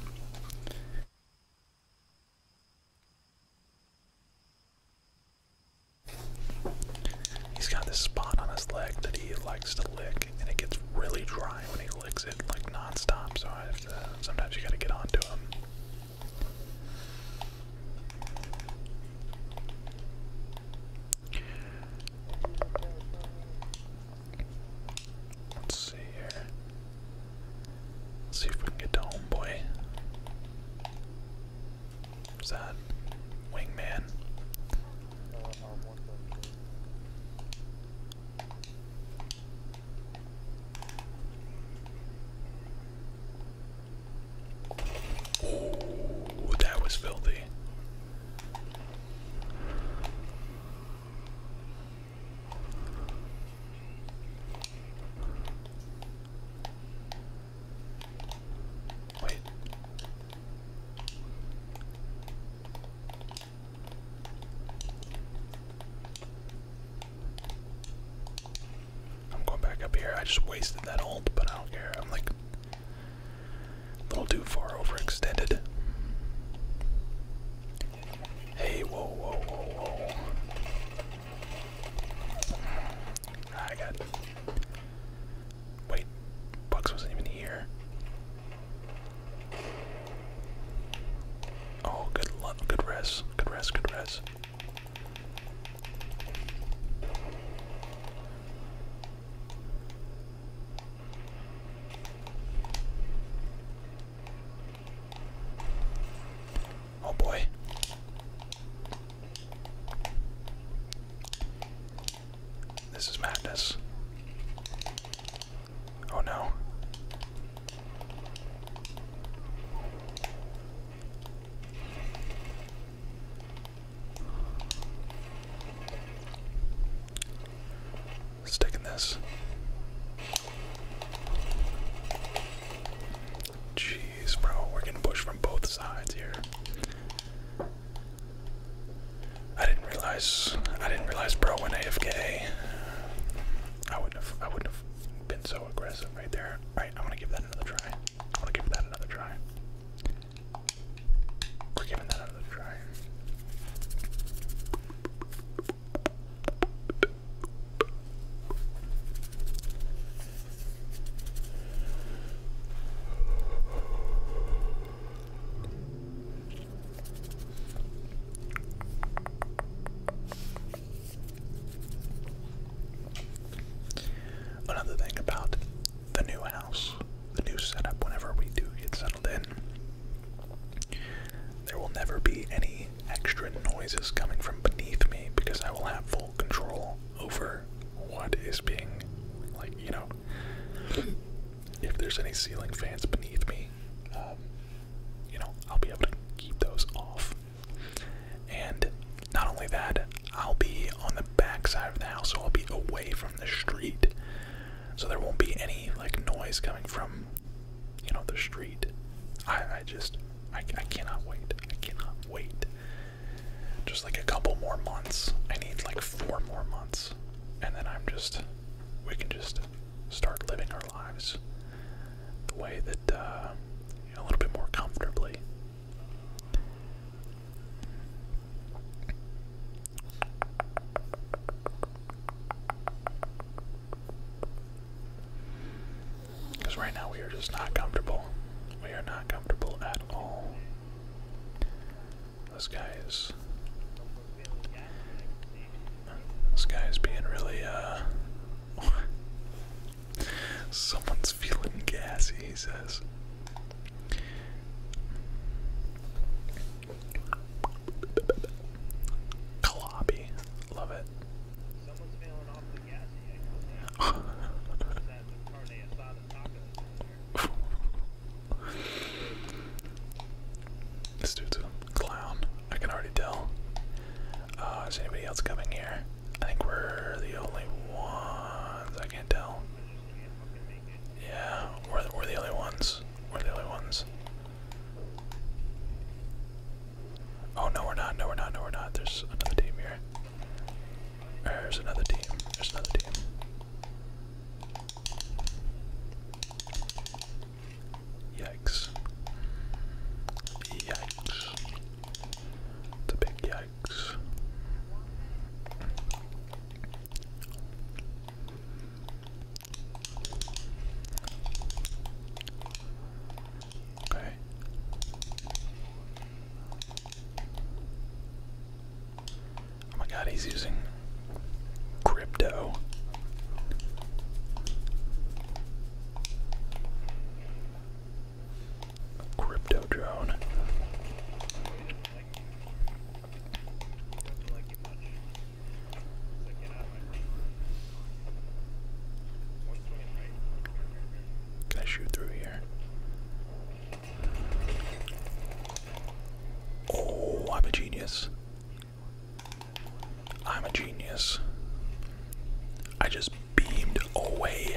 He's got this spot on his leg that he likes to lick, and it gets really dry when he licks it like nonstop. So I have to, sometimes you gotta get onto him. Let's see here. Let's see if we can get to homeboy. What's that? Wingman. Oh, that was filthy. Wait. I'm going back up here. I just wasted that ult, but I don't care. I'm like a little too far overextended. Hey, whoa, whoa, whoa. I got. Wait, Bucks wasn't even here. Oh, good luck, good res, good res, good res. Oh boy. This is madness. Oh no. Sticking this. Jeez, bro, we're getting pushed from both sides here. I didn't realize I didn't realize bro went AFK. I wouldn't have I wouldn't have been so aggressive right there. Alright, I wanna give that another try. I wanna give that another try. We're giving that another try. Another thing about the new house, the new setup, whenever we do get settled in, there will never be any extra noises coming from beneath me because I will have full control over what is being like you know if there's any ceiling fans beneath me um, you know i'll be able to keep those off and not only that i'll be on the back side of the house so i'll be away from the street so there won't be any like noise coming from you know the street i, I just I, I cannot wait i cannot wait just like a couple more months. I need like four more months. And then I'm just, we can just start living our lives the way that, uh, a little bit more comfortably. Because right now we are just not comfortable. We are not comfortable at all. This guy is. This guy is being really, uh, Someone's feeling gassy, he says. Kalopy. Love it. this dude's a clown. I can already tell. Uh, is anybody else coming here? I think we're the only ones. I can't tell. Yeah, we're the, we're the only ones. We're the only ones. Oh no, we're not. No, we're not. No, we're not. There's another team here. There's another team. There's another team. Yikes. Yikes. The big yikes. Okay. Oh my god, he's using crypto. crypto drone. Can I shoot through here? Oh, I'm a genius. I'm a genius. I just beamed away.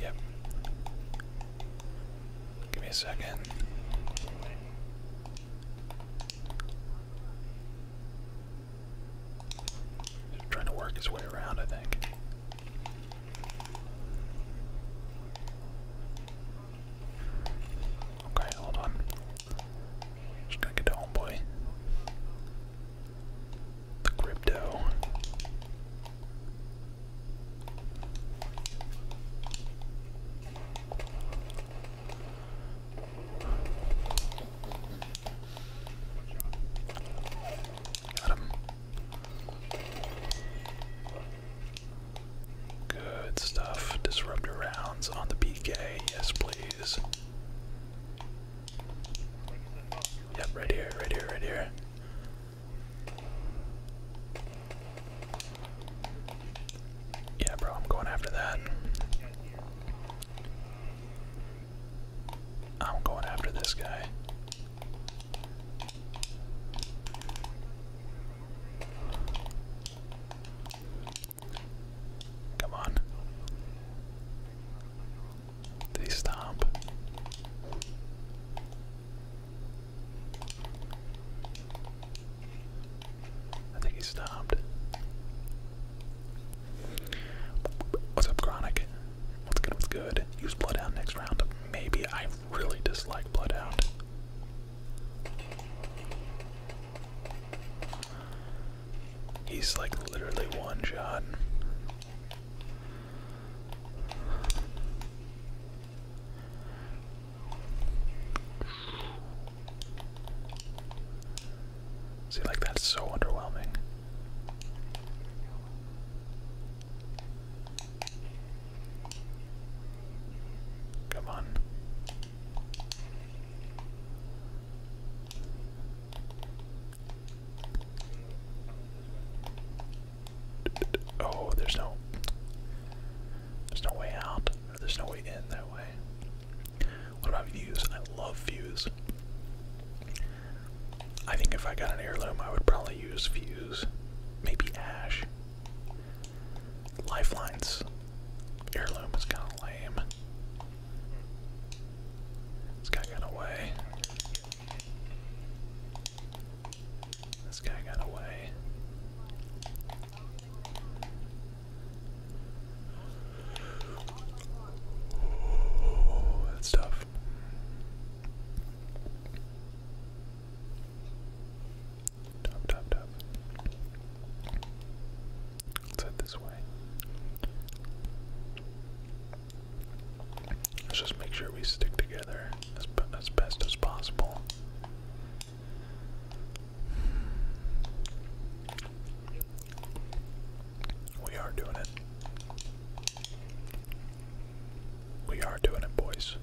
Yep. Give me a second trying to work his way around, I think. Okay, hold on. Just gonna get to homeboy. The crypto. Got him. Good stuff. Disruptor rounds on the PK. Yes, please. Yep, right here, right here, right here. Yeah, bro, I'm going after that. I'm going after this guy. Come on. Did stop? I think he stopped. What's up, Chronic? What's good? What's good? Use Bloodhound next round. Maybe I really dislike Bloodhound. He's like literally one shot. See, like, that's so underwhelming. Come on. Oh, there's no. There's no way out. There's no way in that way. What about views? I love views. I think if I got an heirloom, I would probably use views. Maybe ash. Lifelines. Heirloom is kind of lame. This guy got away. This guy got away. Oh, that's tough. Tough, tough, tough. Let's head this way. Let's just make sure we stick together as best as possible. We are doing it. We are doing it, boys.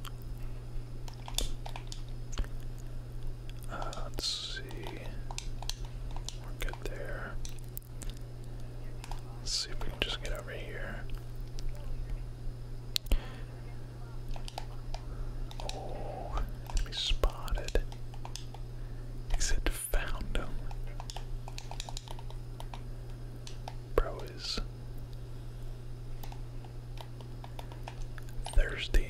Uh, let's see. We're good there. Let's see if we can just get over here. Oh, enemy spotted. Exit found him. Bro is thirsty.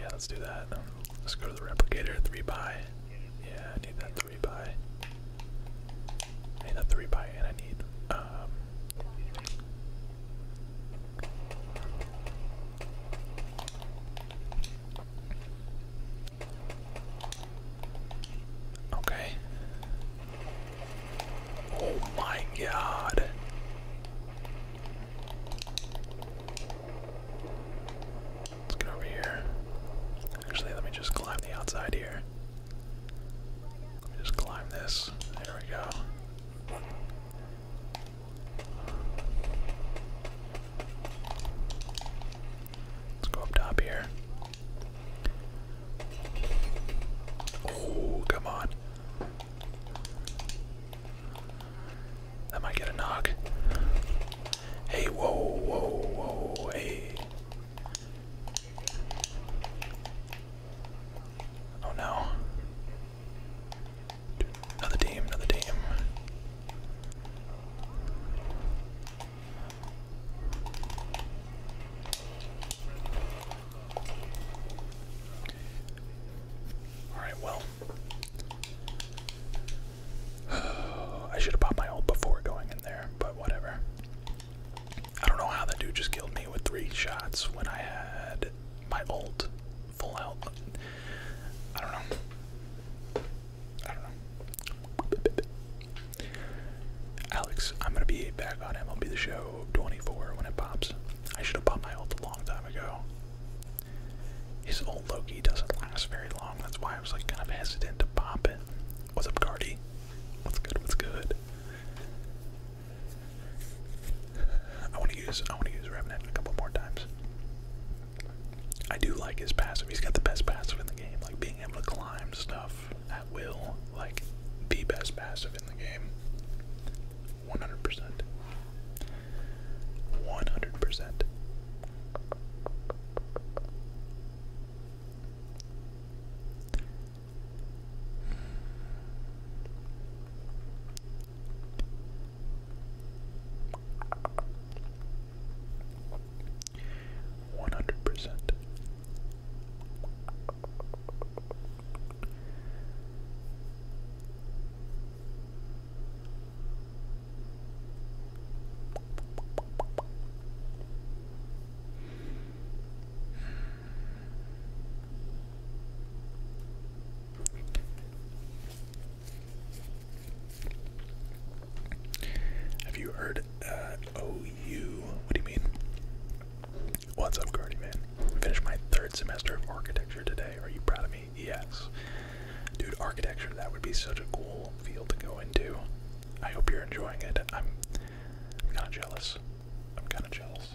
Yeah, let's do that. Let's go to the replicator. Three by. Yeah, I need that three by. need that three by, and I need um, Okay. Oh my God. Let's get over here. Actually, let me just climb the outside here. Let me just climb this. There we go. Let's go up top here. Oh, come on. That might get a knock. Hey, whoa, whoa, whoa, hey. Oh no. Another team, another team. Alright, well. I should have popped my ult before going in there, but whatever. I don't know how that dude just killed me with three shots when I had my old full health. I don't know. I don't know. Alex, I'm gonna be back on MLB The Show 24 when it pops. I should have popped my ult a long time ago. His old Loki doesn't last very long. That's why I was like kind of hesitant to pop it. What's up, Guardy? What's good? What's good? I want to use I want to use Revenant a couple more times. I do like his passive. He's got the best passive in the game, like being able to climb stuff at will, like the best passive in the game. 100%. 100%. One hundred percent. Have you heard uh, OU? What do you mean? What's up, Cardi man? Finished my third semester of architecture today. Are you proud of me? Yes. Dude, architecture, that would be such a cool field to go into. I hope you're enjoying it. I'm kinda jealous. I'm kinda jealous.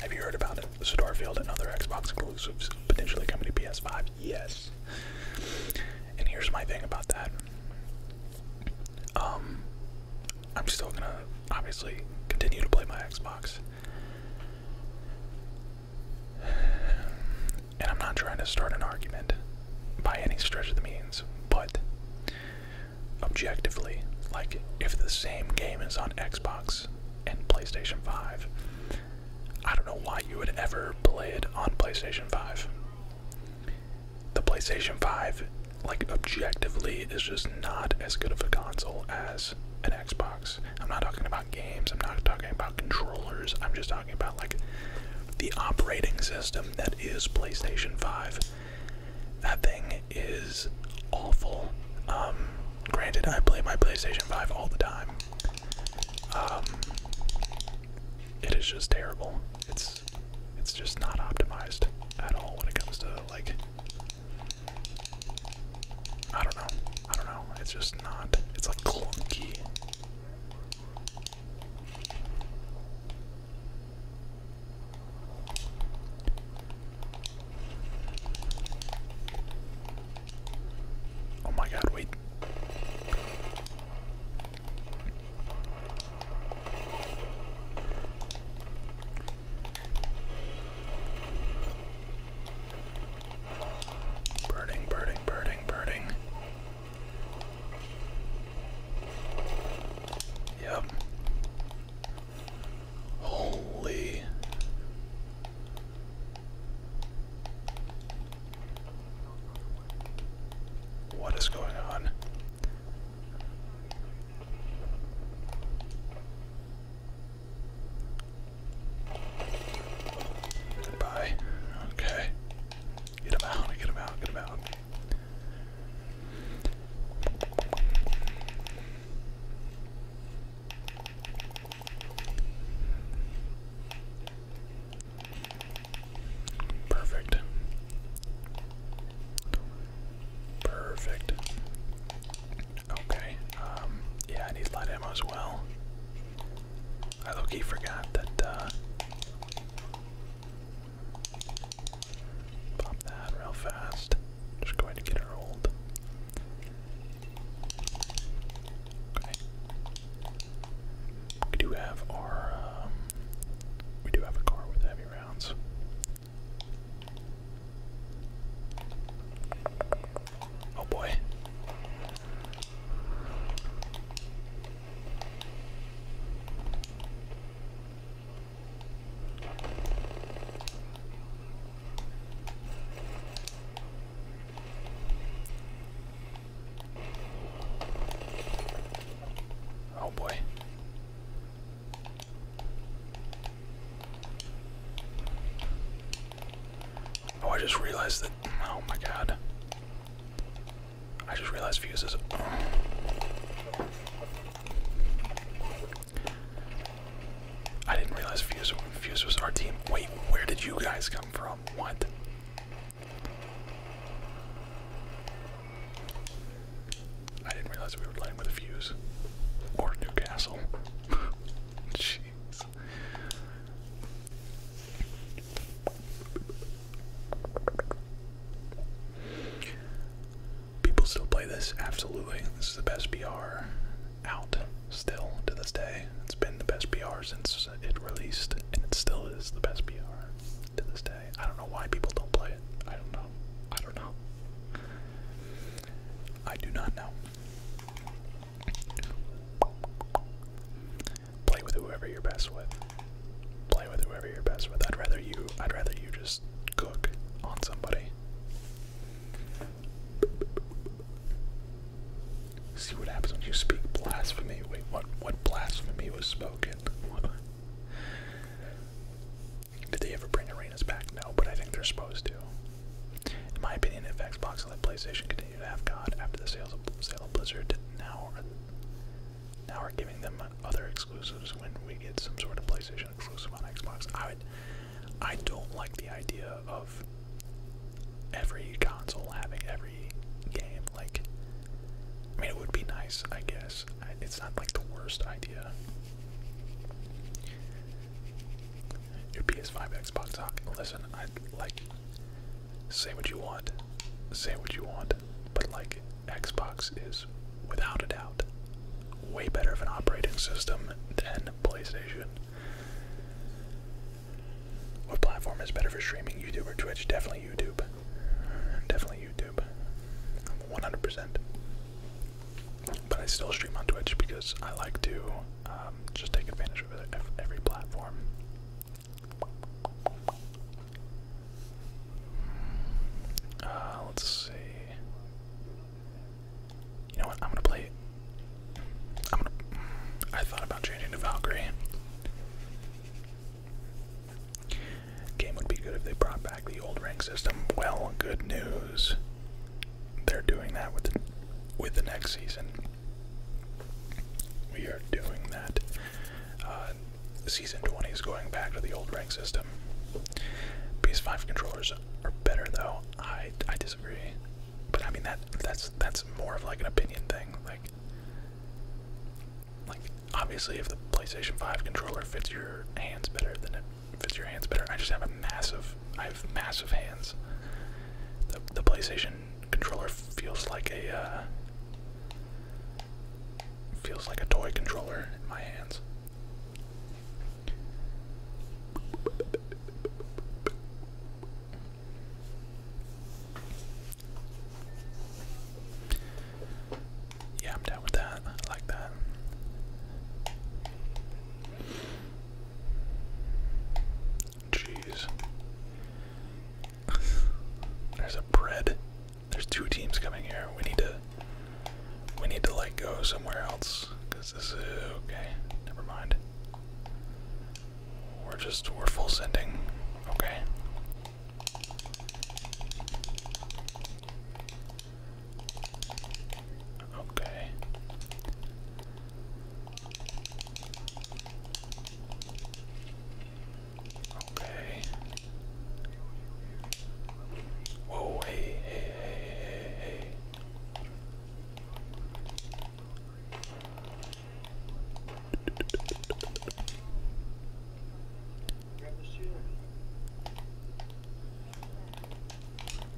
Have you heard about it? Starfield and other Xbox exclusives potentially coming to PS5? Yes. And here's my thing about that. Um, I'm still gonna obviously continue to play my Xbox. And I'm not trying to start an argument by any stretch of the means, but objectively, like if the same game is on Xbox and PlayStation 5, I don't know why you would ever play it on PlayStation 5. The PlayStation 5, like objectively, is just not as good of a console as an Xbox. I'm not talking about games, I'm not talking about controllers, I'm just talking about like the operating system that is PlayStation 5. That thing is awful. Um, granted, I play my PlayStation 5 all the time. Um, it is just terrible. It's it's just not optimized at all when it comes to like I don't know. I don't know. It's just not. It's like clunky. Oh my god, wait. Birding, birding, birding, birding. Yep. Holy. What is going on? Goodbye. Okay. Get him out, get him out, get him out. Perfect. Perfect. Okay. Um, yeah, I need light ammo as well. I low forgot that uh, Pop that real fast. Just go ahead get her old. Okay. We do have our, um, we do have a car with heavy rounds. Oh boy. Oh boy. Oh, I just realized that. Oh my god. I just realized fuses. Oh. I didn't realize Fuse, Fuse was our team. Wait, where did you guys come from? What? I didn't realize we were playing with Fuse. Or Newcastle. Jeez. People still play this, absolutely. This is the best PR out still to this day. It's been the best PR since it released, and it still is the best PR to this day. I don't know why people don't play it. I don't know. I don't know. I do not know. Play with whoever you're best with play with whoever you're best with. I'd rather you I'd rather you just cook on somebody. See what happens when you speak blasphemy. Wait, what what blasphemy was spoken? Did they ever bring arenas back? No, but I think they're supposed to. In my opinion, if Xbox and PlayStation continue to have God after the sales of, sale of Blizzard, now now we're giving them other exclusives when we get some sort of PlayStation exclusive on Xbox. I would, I don't like the idea of every console having every game. Like, I mean, it would be nice, I guess. It's not like the worst idea. Your PS5, Xbox. Uh, listen, I like. Say what you want. Say what you want but like Xbox is without a doubt way better of an operating system than PlayStation. What platform is better for streaming, YouTube or Twitch? Definitely YouTube. Definitely YouTube. 100%. But I still stream on Twitch because I like to um, just take advantage of every platform. Uh, let's see. You know what? I'm gonna play. I'm gonna. I thought about changing to Valkyrie. Game would be good if they brought back the old rank system. Well, good news. They're doing that with the, with the next season. We are doing that. Uh, Season 20 is going back to the old rank system. PS5 controllers are better though. I I disagree. But I mean that that's that's more of like an opinion thing. Like like obviously if the PlayStation 5 controller fits your hands better than it fits your hands better. I just have a massive I have massive hands. The the PlayStation controller feels like a uh, feels like a toy controller in my hands. Yeah, I'm down with that. I like that. Jeez. There's a bread there's two teams coming here. We need to we need to like go somewhere else because this is okay. Never mind. We're just we're full sending. Okay. Okay. Okay. Whoa, hey, hey, hey, hey, hey.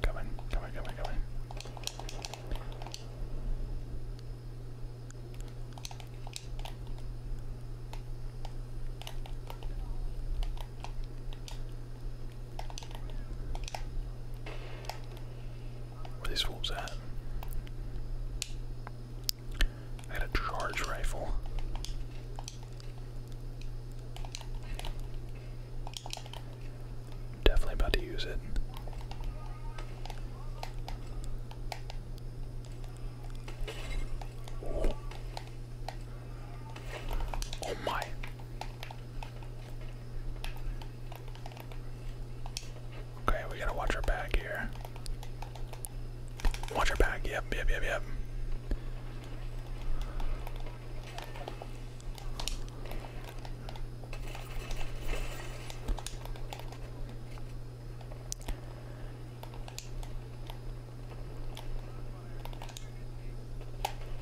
Come on, come on, come on, come on. Where these wolves at? I had a charge rifle. Definitely about to use it. Oh my. Okay, we gotta watch our back here. Watch our back, yep, yep, yep, yep.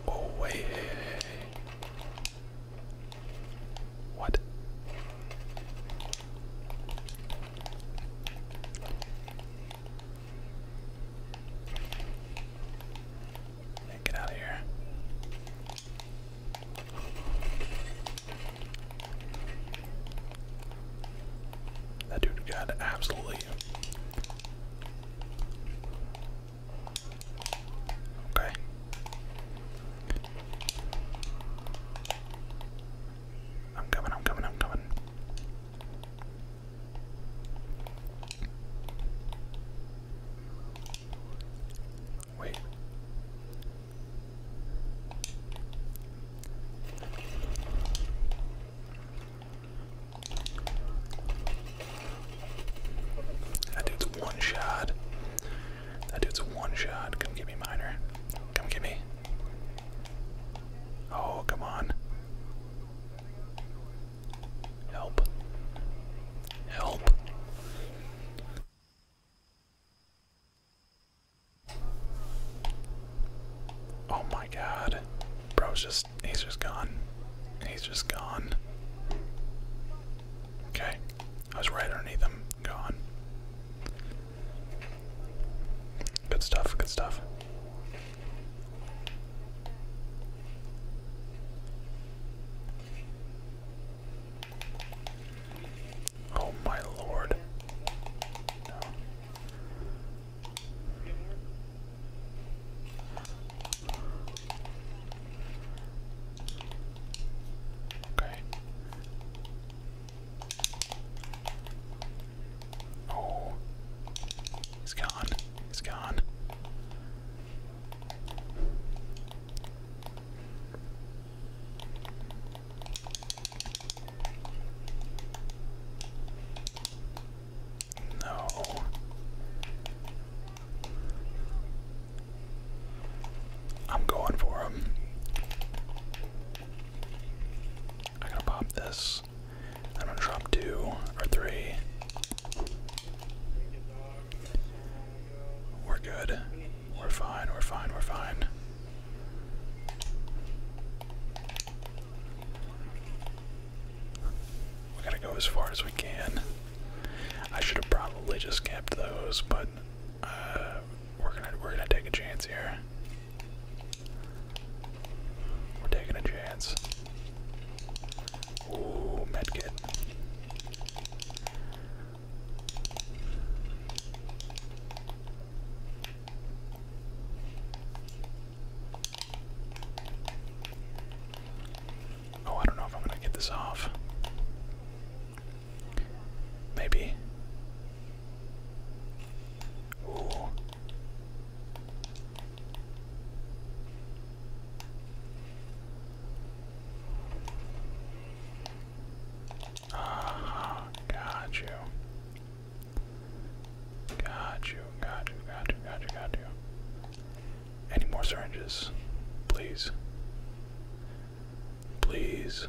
Oh wait. What? get out of here. That dude got absolutely Okay. I'm coming, I'm coming, I'm coming. Wait. That dude's one shot. That dude's one shot. Come give me Miner. Come give me. Oh, come on. Help. Help. Oh my god. Bro's just he's just gone. He's just gone. Okay. I was right underneath him. Gone. Good stuff, good stuff. Oh my lord. Okay. Oh, he's gone. He's gone. No. I'm going for him. I'm gonna pop this. I'm gonna drop two or three. We're good. We're fine, we're fine, we're fine. We are going to go as far as we can. I should have probably just kept those, but uh, we're gonna we're gonna take a chance here. We're taking a chance. Ooh, medkit. Oh, I don't know if I'm gonna get this off. Maybe. Ooh. Ah, got you. Got you, got you, got you, got you, got you. Any more syringes? Please. Please.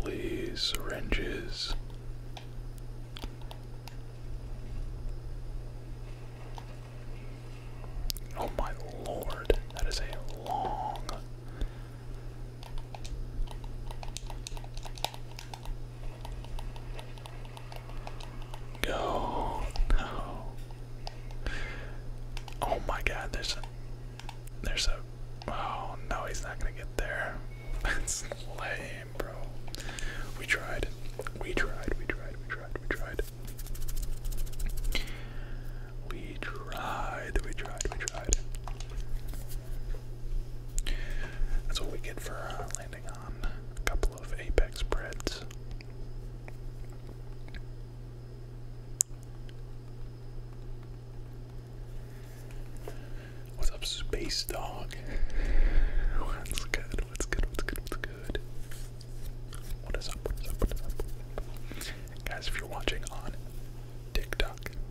Please, syringes. Oh my lord, that is a long Go. No. Oh my god, there's a there's a oh no he's not gonna get there. That's lame, bro. We tried. We tried, we tried, we tried, we tried. We tried, we tried, we tried. That's what we get for uh, landing on a couple of apex breads. What's up, Space Dog? What's good? What's good? What's good? What's good? What is up? What is up? What is up? Guys, if you're watching on TikTok,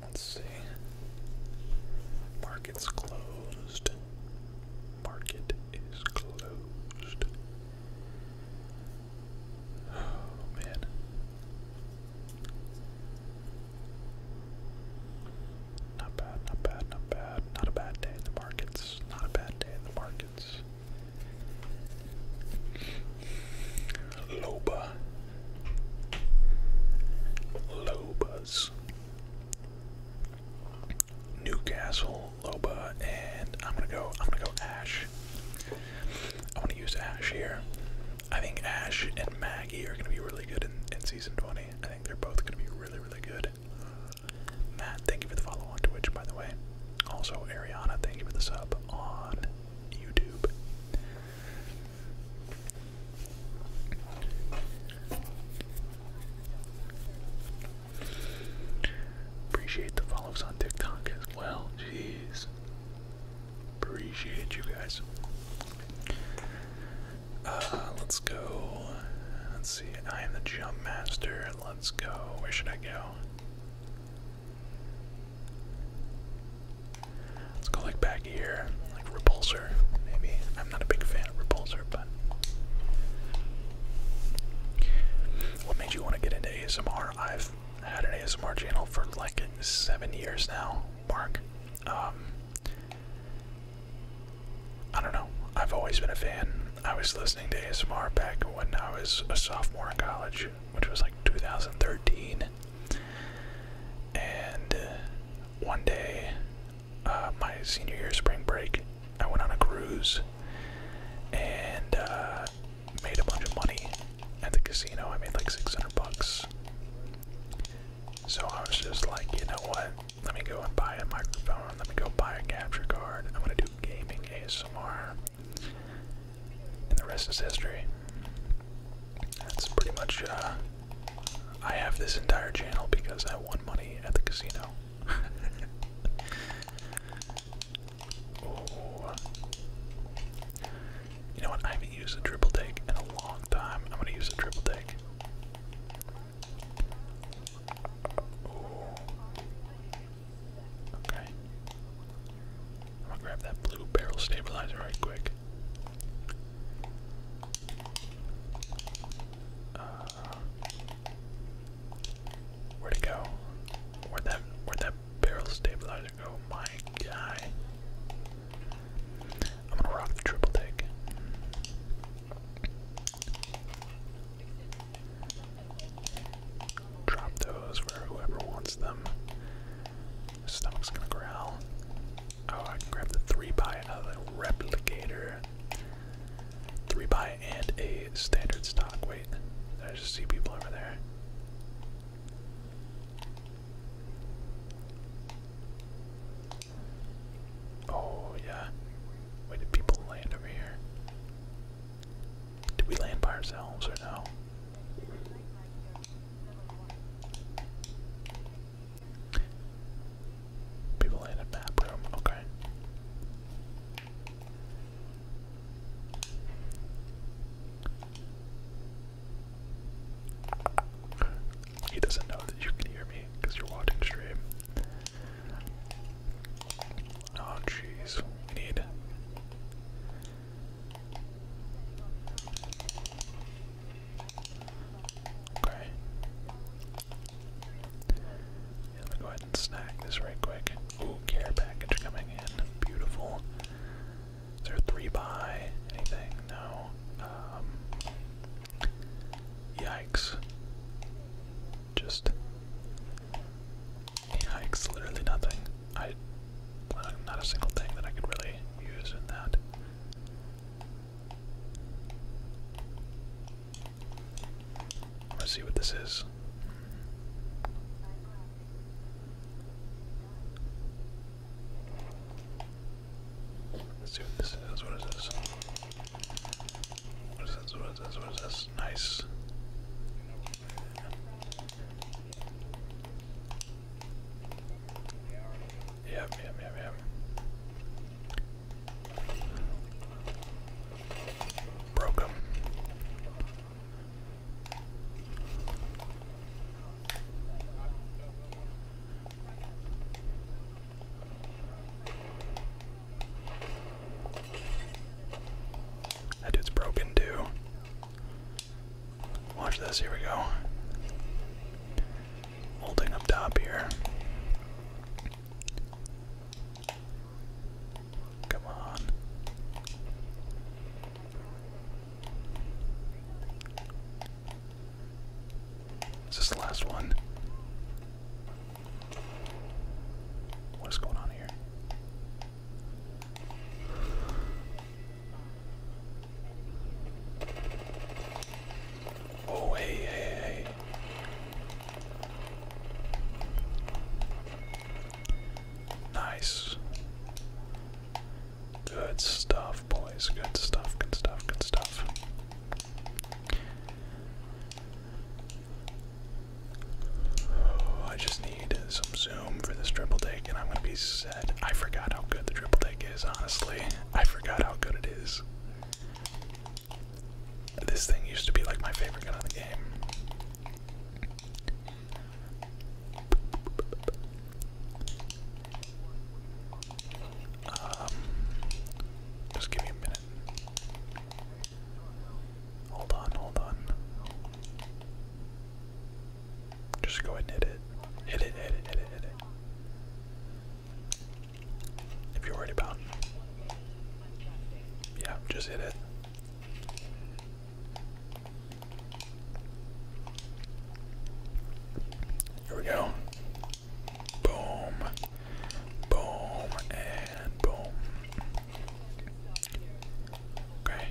Let's see. Market's closed. Market is closed. Oh man. Not bad, not bad, not bad. Not a bad day in the markets. Not a bad day in the markets. Loba. Lobas. Newcastle, Loba, and I'm gonna go I'm gonna go Ash. I wanna use Ash here. I think Ash and Maggie are gonna be really good in, in season 20. I think they're both gonna be really, really good. Matt, thank you for the follow on Twitch by the way. Also Ariana, thank you for the sub on YouTube. Appreciate the follows on TikTok as well. Jeez. Appreciate you guys. Uh, let's go. Let's see. I am the jump master. Let's go. Where should I go? Let's go like back here, like repulsor, maybe. I'm not a big fan of repulsor, but what made you want to get into ASMR? I've had an ASMR channel for like seven years now, Mark. Um, I don't know. I've always been a fan. I was listening to ASMR back when I was a sophomore in college which was like 2013. And uh, one day, uh, my senior year spring break, I went on a cruise and uh, made a bunch of money at the casino. I made like 600 bucks. So I was just like, you know what? Let me go and buy a microphone. Let me go buy a capture card. I'm gonna do gaming some more. And the rest is history. That's pretty much, uh, I have this entire channel because I won money at the casino. You know what? I haven't used a triple take in a long time. I'm gonna use a triple take. Okay. I'm gonna grab that blue barrel stabilizer right quick. Uh, where'd it go? where that where that barrel stabilizer go? My guy. I'm gonna rock the triple take drop those for whoever wants them. My stomach's gonna growl. Oh, I can grab the three by another replicator. Three by and a standard stock. Wait, I just see people over there. Oh yeah. Wait, did people land over here? Did we land by ourselves or no? People in a bathroom, okay. He doesn't know that you can hear me because you're watching stream. Oh jeez, need Okay. Yeah, let me go ahead and snag this right quick. Ooh, care package coming in. Beautiful. Is there three by? Anything? No. Um, yikes. Just Yikes, literally nothing. I, not a single thing that I could really use in that. Let's see what this is. Let's see what this is. What is this? What is this? What is this? Nice. Yeah, yeah, yeah, yeah. Broke That dude's broken too. Watch this, here we go. Holding up top here. Come on. Is this the last one? What is going on here? Oh, hey, hey, hey. Nice. Good stuff, boys. Good stuff, good stuff, good stuff. Oh, I just need some zoom for this triple take, and I'm gonna be set. I forgot how good the triple take is, honestly. I forgot how good it is. This thing used to be like my favorite gun in the game. Um, just give me a minute. Hold on, hold on. Just go ahead and hit it. Hit it, hit it, hit it, hit it. If you're worried about Yeah, just hit it. Here we go. Boom. Boom and boom. Okay.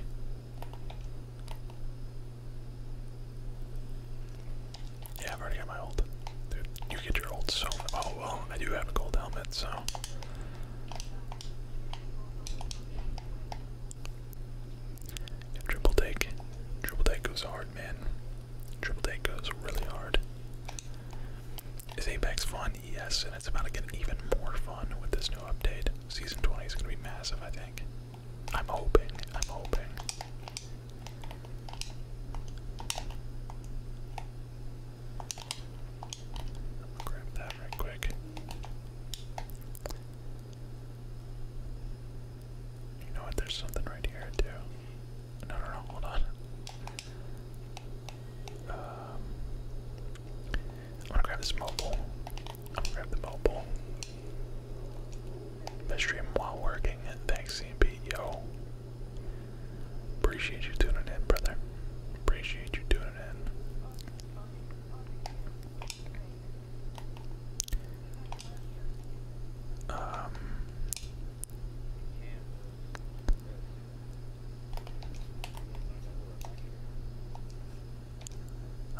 Yeah, I've already got my old. Dude, you get your old so Oh well, I do have a gold helmet, so. triple take. Triple take goes hard, man. Triple take goes really hard. Is Apex fun? Yes, and it's about to get even more fun with this new update. Season 20 is going to be massive, I think. I'm hoping, I'm hoping. grab that right quick. You know what? There's something right here too. No, no, no. Hold on. Um, I'm gonna grab this mobile. Grab the mobile. Best stream while working. Thanks, CMP. Yo. Appreciate you tuning in, brother. Appreciate you tuning in. Um.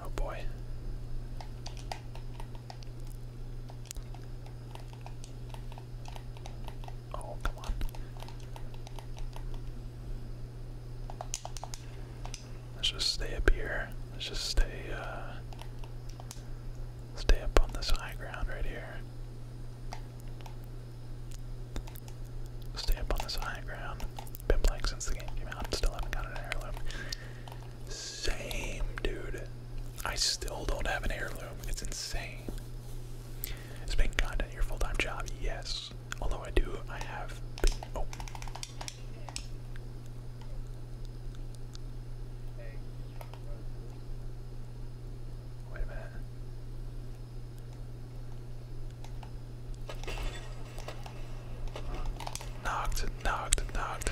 Oh boy. Oh, come on. Let's just stay up here. Let's just stay, uh, stay up on this high ground right here. Stay up on this high ground. Been playing since the game came out still haven't got an heirloom. Same, dude. I still don't have an heirloom. It's insane. Is making content your full-time job? Yes. Although I do, I have. Oh. Wait a minute. Knocked, knocked, knocked.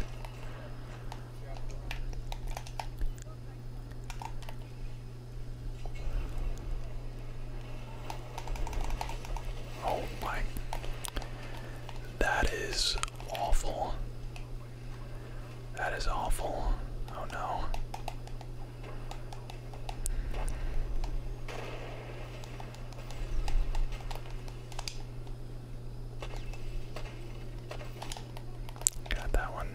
Oh my. That is awful. That is awful. Oh no. Got that one.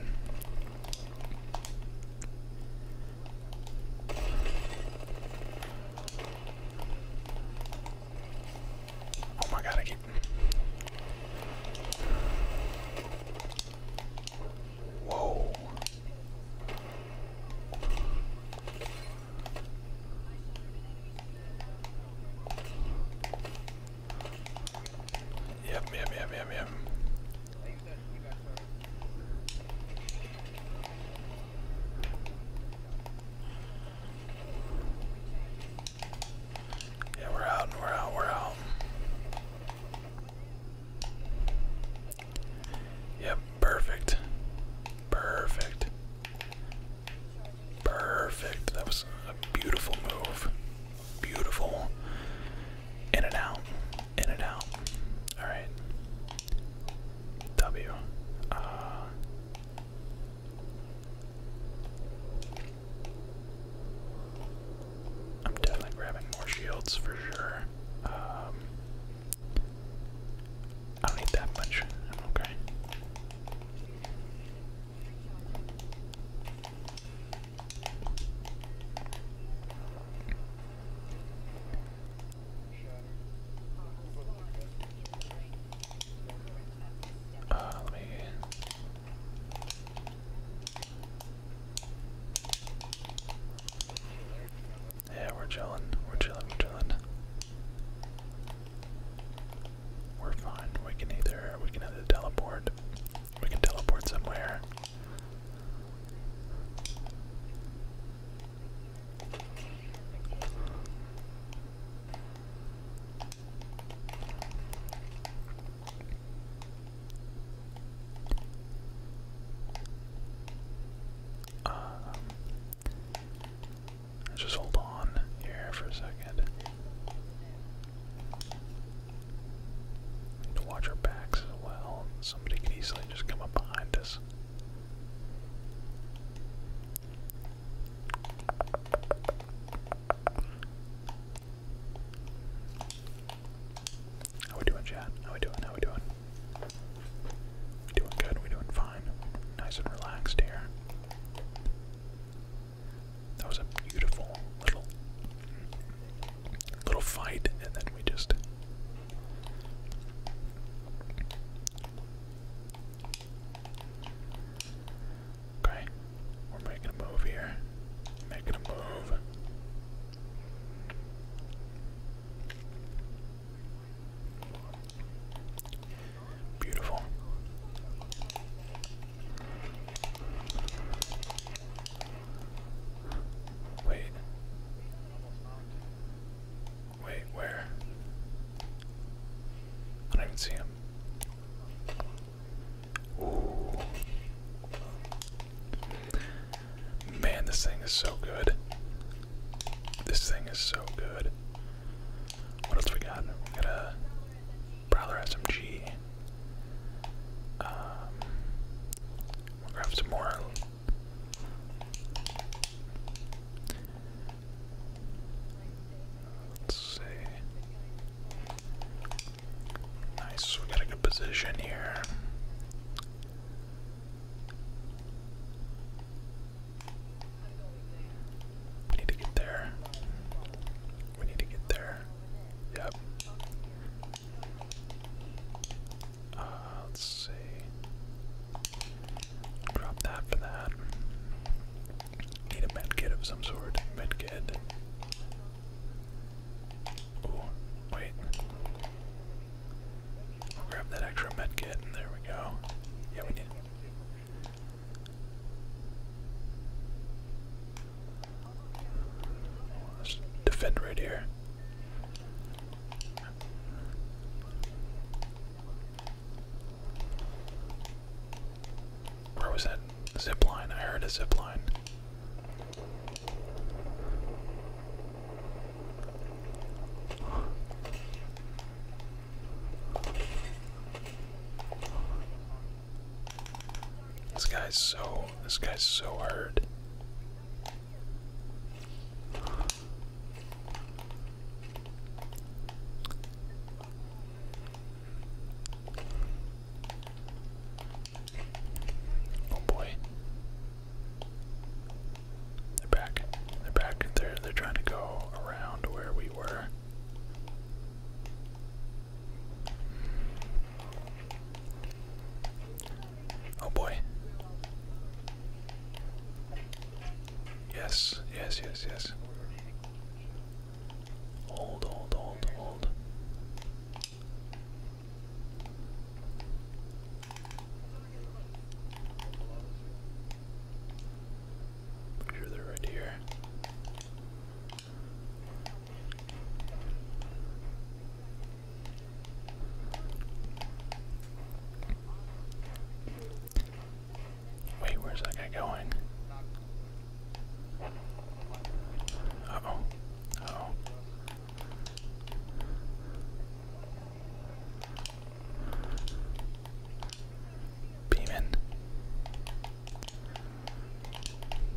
Oh my god, I keep Whoa. Yep, yep, yep, yep, yep. Yeah, we're out, we're out, we're out. Yep, perfect. Perfect. Perfect. That was a beautiful move. Beautiful. In and out. In and out. Alright. W. am uh, definitely grabbing more shields for sure. Um, I don't need that much. okay. Uh, let me. Yeah, we're chilling. We're chilling. We're chilling. We're fine. We can either we can either teleport. We can teleport somewhere. Um, Let's just hold on here for a second. watch our backs as well. Somebody can easily just come up behind us. How we doing, chat? How we doing? How we doing? doing good. We doing fine. Nice and relaxed here. That was a beautiful little little fight, and then we just Okay. We're making a move here. Making a move. Beautiful. Wait. Wait, where? I don't even see him. Ooh. Man, this thing is so good. This thing is so good. What else we got? We got a Prowler SMG. Um, we'll grab some more. Let's see. Nice, we got a good position here. We need to get there. We need to get there. Yep. Uh, let's see. Drop that for that. Need a med kit of some sort. Med kit. Oh, wait. grab that extra med kit, there we go. Yeah, we need defend right here. Where was that zip line? I heard a zip line. This guy's so this guy's so hard. Oh boy. They're back. They're back. They're they're trying to go around where we were. Oh boy. Yes, yes, yes, yes. Hold, hold, hold, hold they're right here. Wait, where's that guy going? oh. oh. Beeman.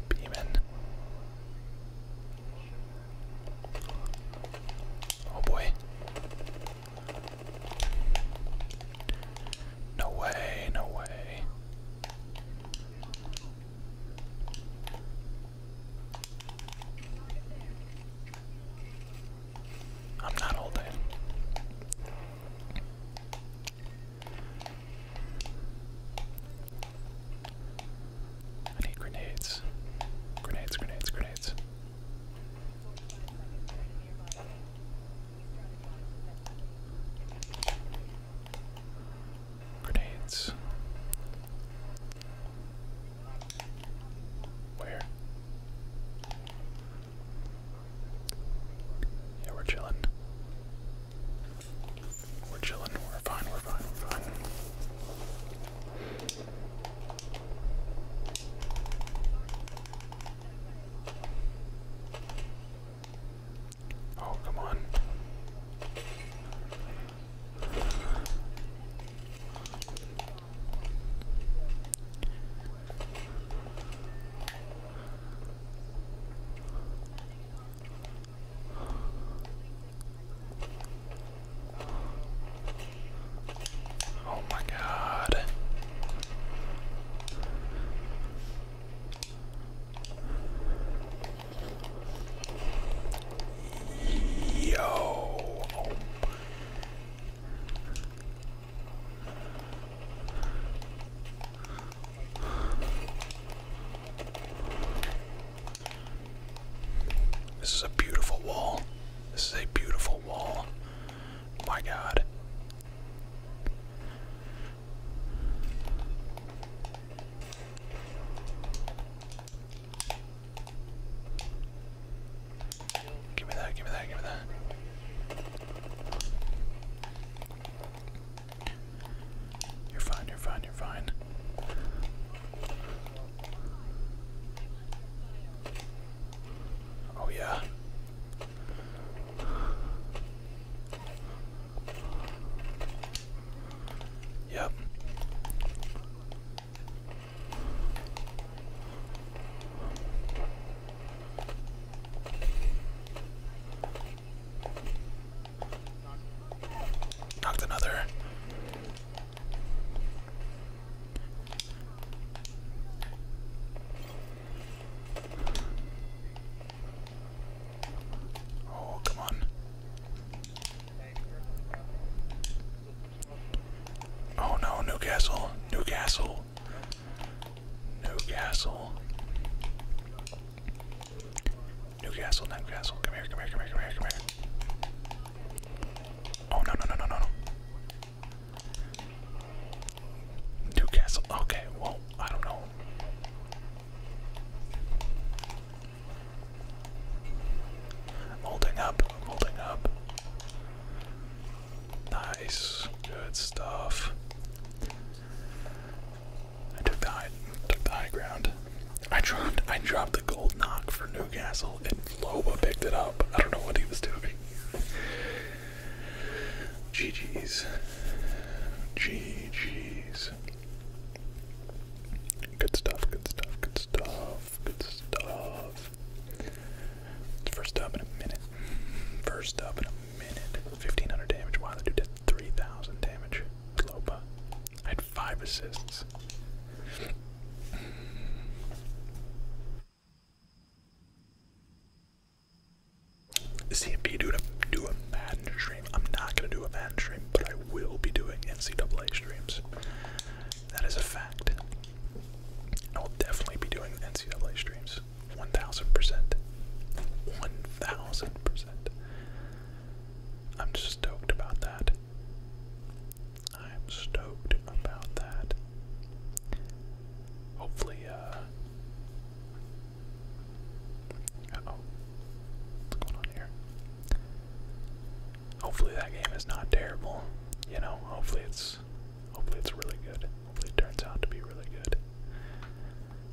Beeman. Oh boy. No way, no way. I'm not holding. I need grenades. Grenades, grenades, grenades. Grenades. Where? Yeah, we're chilling. We're chilling. We're fine. We're fine. We're fine. Oh, come on. Oh my God. Yo. This is a beautiful wall. This is a beautiful wall. My God. Give me that, give me that, give me that. You're fine, you're fine, you're fine. Oh, yeah. Yep. Knocked another. Oh, come on. Oh no, Newcastle, Newcastle castle. No castle. No castle, no castle. Come here, come here, come here, come here, come here. Oh no no no no no no. New castle. Okay, well, I don't know. Molding up, molding up. Nice, good stuff. I took the high, took the high ground. I dropped, I dropped the gold knock for Newcastle, and Loba picked it up. I don't know what he was doing. GG's. GG's. Good stuff, good stuff, good stuff, good stuff. First up in a minute. First up in 1,500 damage. Wow, that dude did 3,000 damage with I had five assists. CMP, dude, I'm do a Madden stream. I'm not gonna do a man stream, but I will be doing NCAA streams. That is a fact. I will definitely be doing NCAA streams. 1000%. 1000%. I'm just stoked about that. I'm stoked about that. Hopefully, Uh oh. What's going on here? Hopefully that game is not terrible. You know, hopefully it's hopefully it's really good. Hopefully turns out to be really good.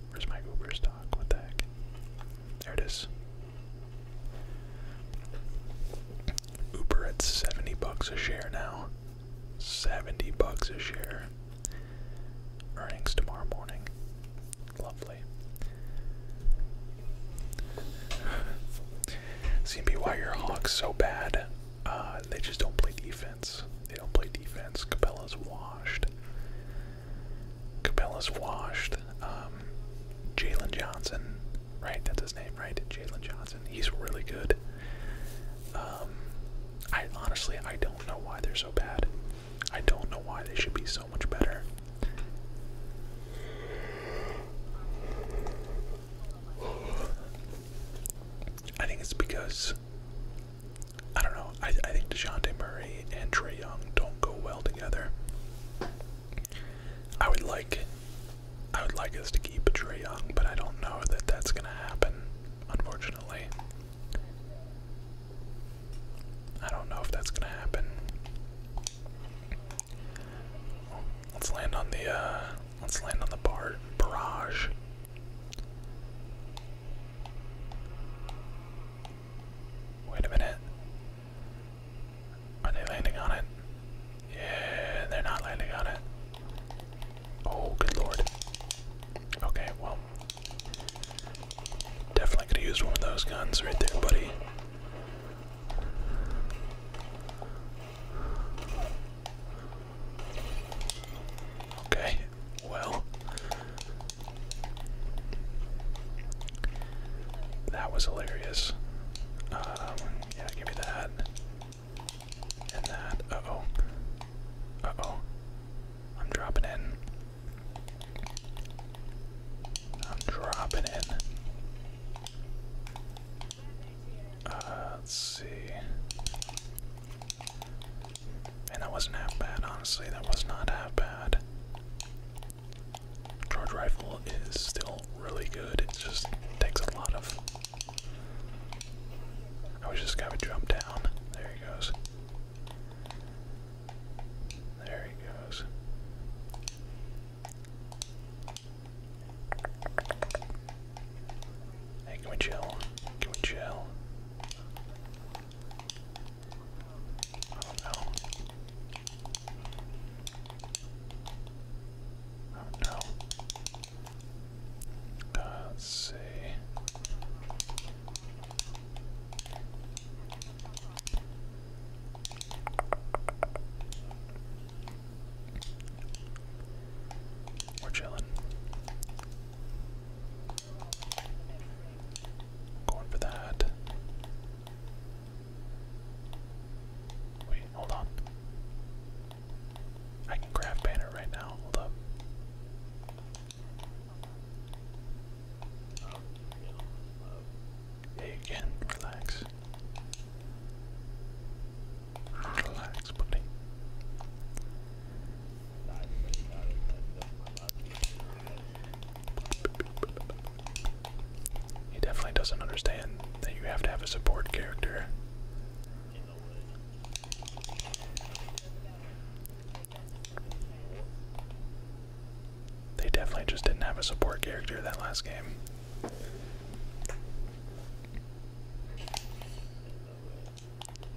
Where's my Uber stock? What the heck? There it is. Uber at 70 bucks a share now. 70 bucks a share. Earnings tomorrow morning. Lovely. CMB, why your Hawks so bad? Uh, they just don't play defense. They will play defense. Capella's washed. Capella's washed. Um, Jalen Johnson, right? That's his name, right? Jalen Johnson. He's really good. Um, I honestly, I don't know why they're so bad. I don't know why they should be so much better. I think it's because I don't know. I, I think DeJounte Murray and Trey Young don't go well together. I would like I would like us to keep Trey Young, but I don't know that that's gonna happen, unfortunately. I don't know if that's gonna happen. let's land on the uh let's land on the bar barrage. Wait a minute. Are they landing on it? Yeah, they're not landing on it. Oh, good lord. Okay, well. Definitely could have used one of those guns right there, buddy. Okay, well. That was hilarious. Um, yeah, give me that. And that. Uh oh. Uh oh. I'm dropping in. I'm dropping in. Uh, let's see. And that wasn't half bad, honestly. That was not half bad. Charge rifle is still really good. It just takes a lot of. I was just guy would jump down. There he goes. There he goes. Hey, can we chill? Can we chill? Oh no. Oh no. Uh, let's see. We're chilling. Going for that. Wait, hold on. I can grab banner right now. Hold up. Yeah, Relax. Relax, buddy. He definitely doesn't understand that you have to have a support character. They definitely just didn't have a support character that last game.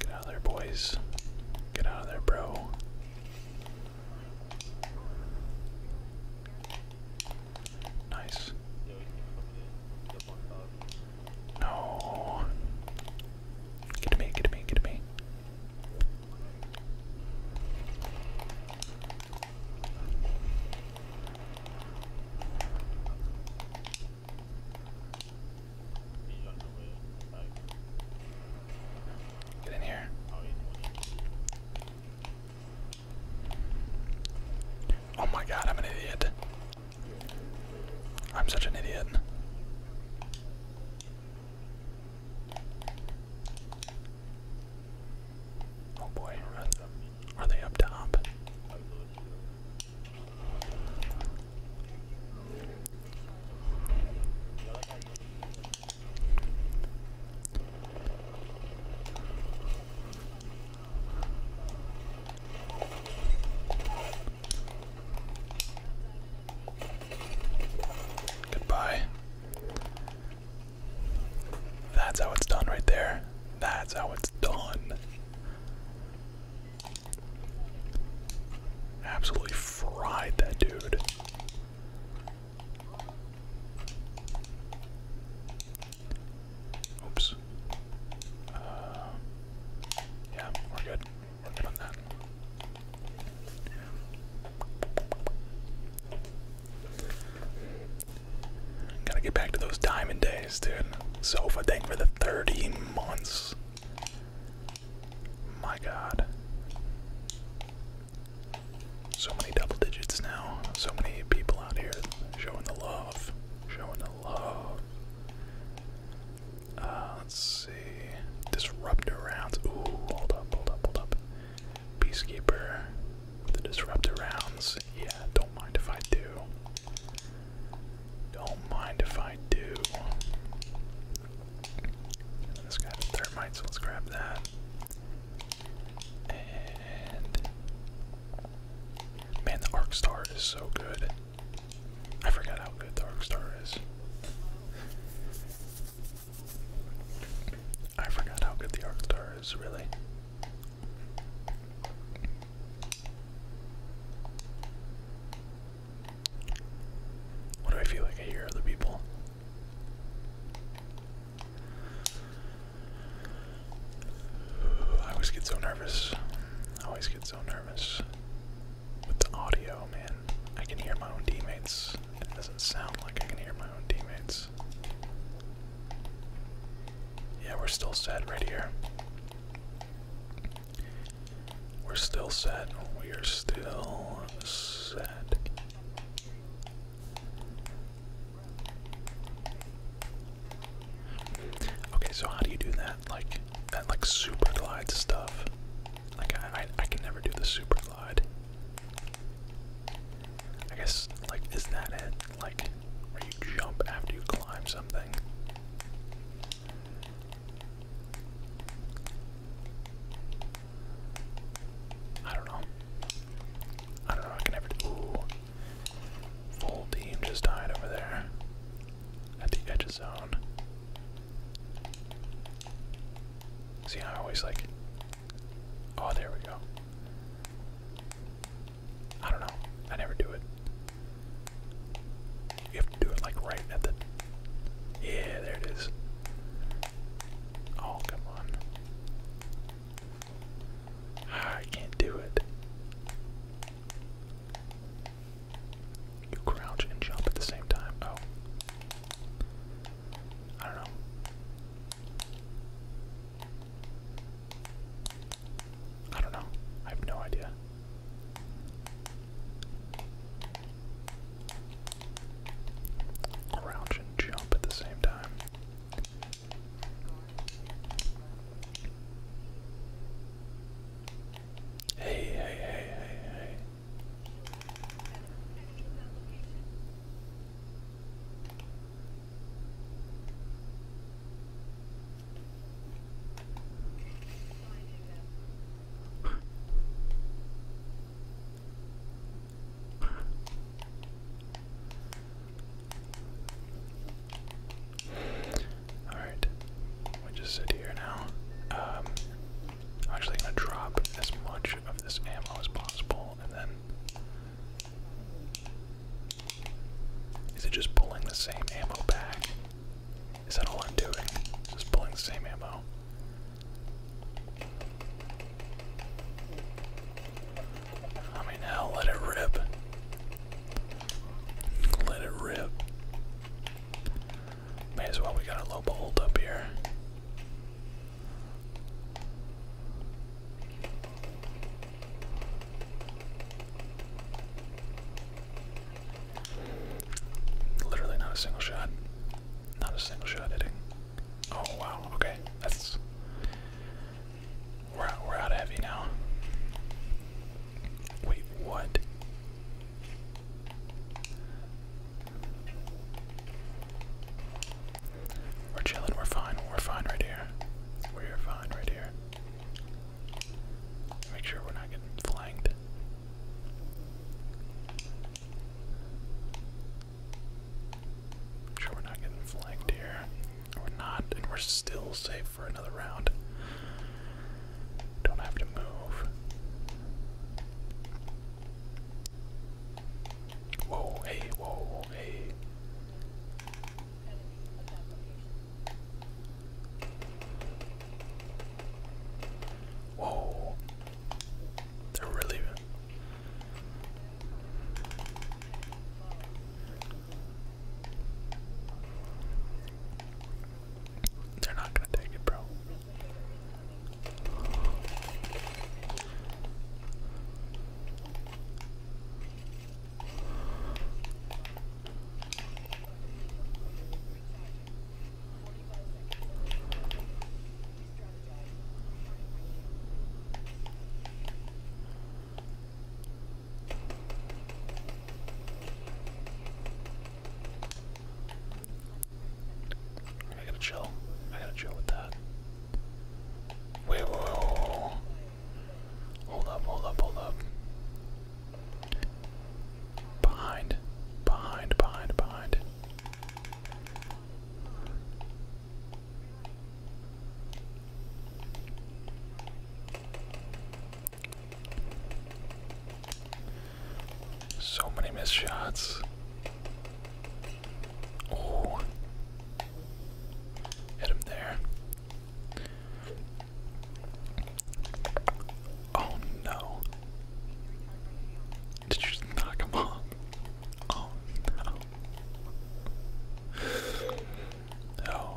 Get out of there, boys. Get out of there, bro. Nice. No. Get to me, get to me, get to me. Get in here. Oh my god, I'm an idiot. I'm such an idiot. Oh boy, are they up top? Goodbye. That's how it's done right there. That's how it's done. Absolutely fried that dude. Oops. Uh, yeah, we're good. We're good on that. Gotta get back to those diamond days, dude. Sofa, thank for the 30 months. My god. So many double digits now. So many people out here showing the love. Showing the love. Uh, let's see. Disruptor rounds. Ooh, hold up, hold up, hold up. Peacekeeper the disruptor rounds. Yeah, don't mind if I do. Don't mind if I do. And this guy has thermite, so let's grab that. And man, the Arc Star is so good. I forgot how good the Arc Star is. I forgot how good the Arc Star is, really. What do I feel like I hear other people? I always get so nervous. I always get so nervous with the audio, man. I can hear my own teammates. It doesn't sound like I can hear my own teammates. Yeah, we're still set right here. We're still set. We are still set. Okay, so how do you do that? Like that, like super glide stuff. Like I, I, I can never do the super glide. I guess like is that it? like where you jump after you climb something. I don't know. I don't know I can ever do. Full team just died over there at the edge zone. See, I always like. Oh, there we go. I don't know. I never do it. You have to do it like right at the. Yeah, there it is. Oh, come on. Ah, I can't do it. You crouch and jump at the same time. Oh. I don't know. I don't know. I have no idea. Crouch and jump at the same time. Hey, hey, hey, hey, all right, we just sit here now. Um, I'm actually gonna drop as much of this ammo as possible, and then is it just pulling the same ammo back? Is that all I'm doing? Just pulling the same ammo. I mean, hell, let it rip. Let it rip. May as well, we got a low bolt up here. Literally not a single shot. Not a single shot hitting. Oh wow, okay. That's we're out we're out heavy now. Wait, what? We're chilling, we're fine, we're fine right here. We're fine right here. Make sure we're not getting flanked. sure we're not getting flanked here. We're not, and we're still safe for another round. Don't have to move. Whoa, hey, whoa, hey. Whoa. They're really They're not gonna take it, bro. I gotta chill. I gotta chill with that. Wait, whoa, whoa, whoa. Hold up, hold up, hold up. Behind, behind, behind, behind. So many missed shots. Oh. Hit him there. Oh no. Did you knock him off? Oh no. Oh no.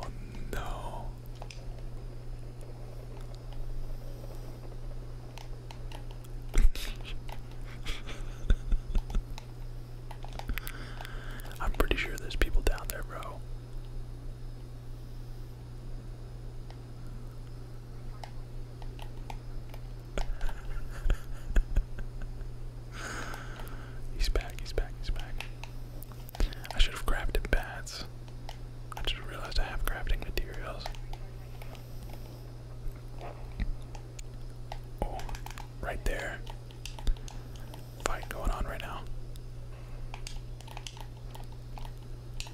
I'm pretty sure there's people down there, bro. he's back, he's back, he's back. I should have crafted bats. I just realized I have crafting materials. Oh, right there fight going on right now.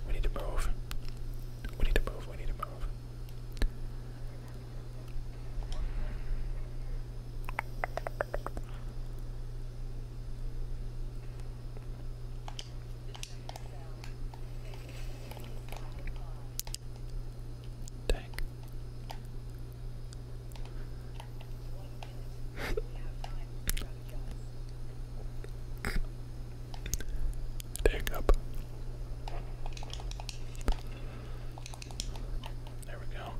We need to move. We need to move. We need to move. Dang. Dang up. There we go.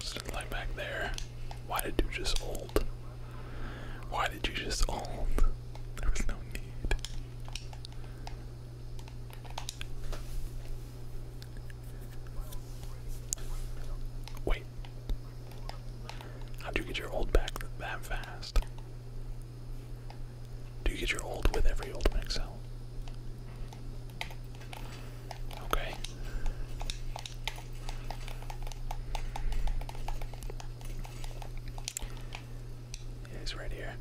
Still like back there. Why did you just ult? Why did you just ult? There was no need. Wait. how do you get your old back that fast? Do you get your old with every old Excel? Okay. Yeah, right here.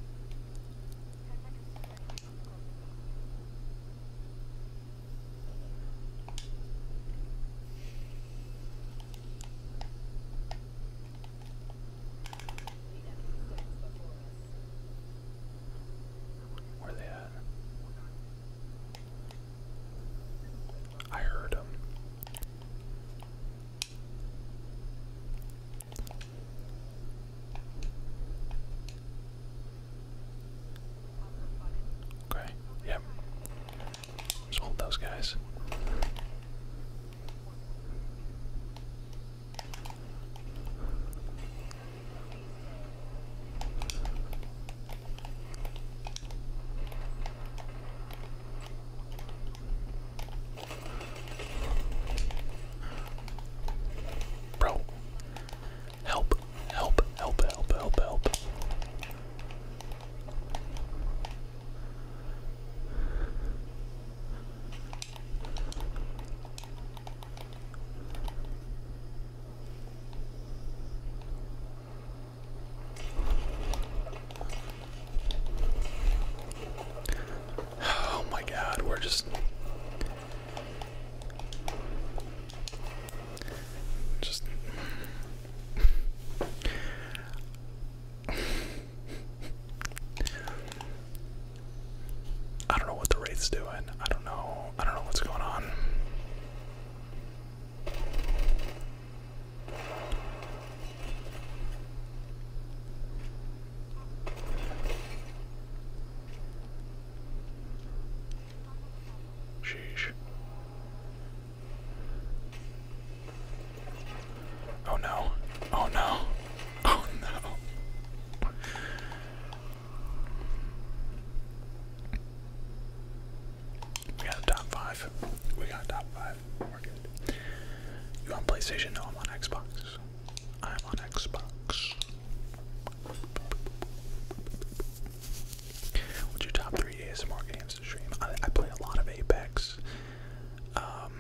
Where are they at? I heard them. Okay, yep. Just hold those guys. Bro, help. Help, help, help, help, help. Oh my god, we're just just I don't know what the Wraith's doing. I don't know. I don't know what's going on. Sheesh. Oh no. Oh no. Oh no. We got top five. We got top five. We're good. You on PlayStation? No, I'm on Xbox. I'm on Xbox. What's your top three ASMR games to stream? I, play a lot of Apex. Um,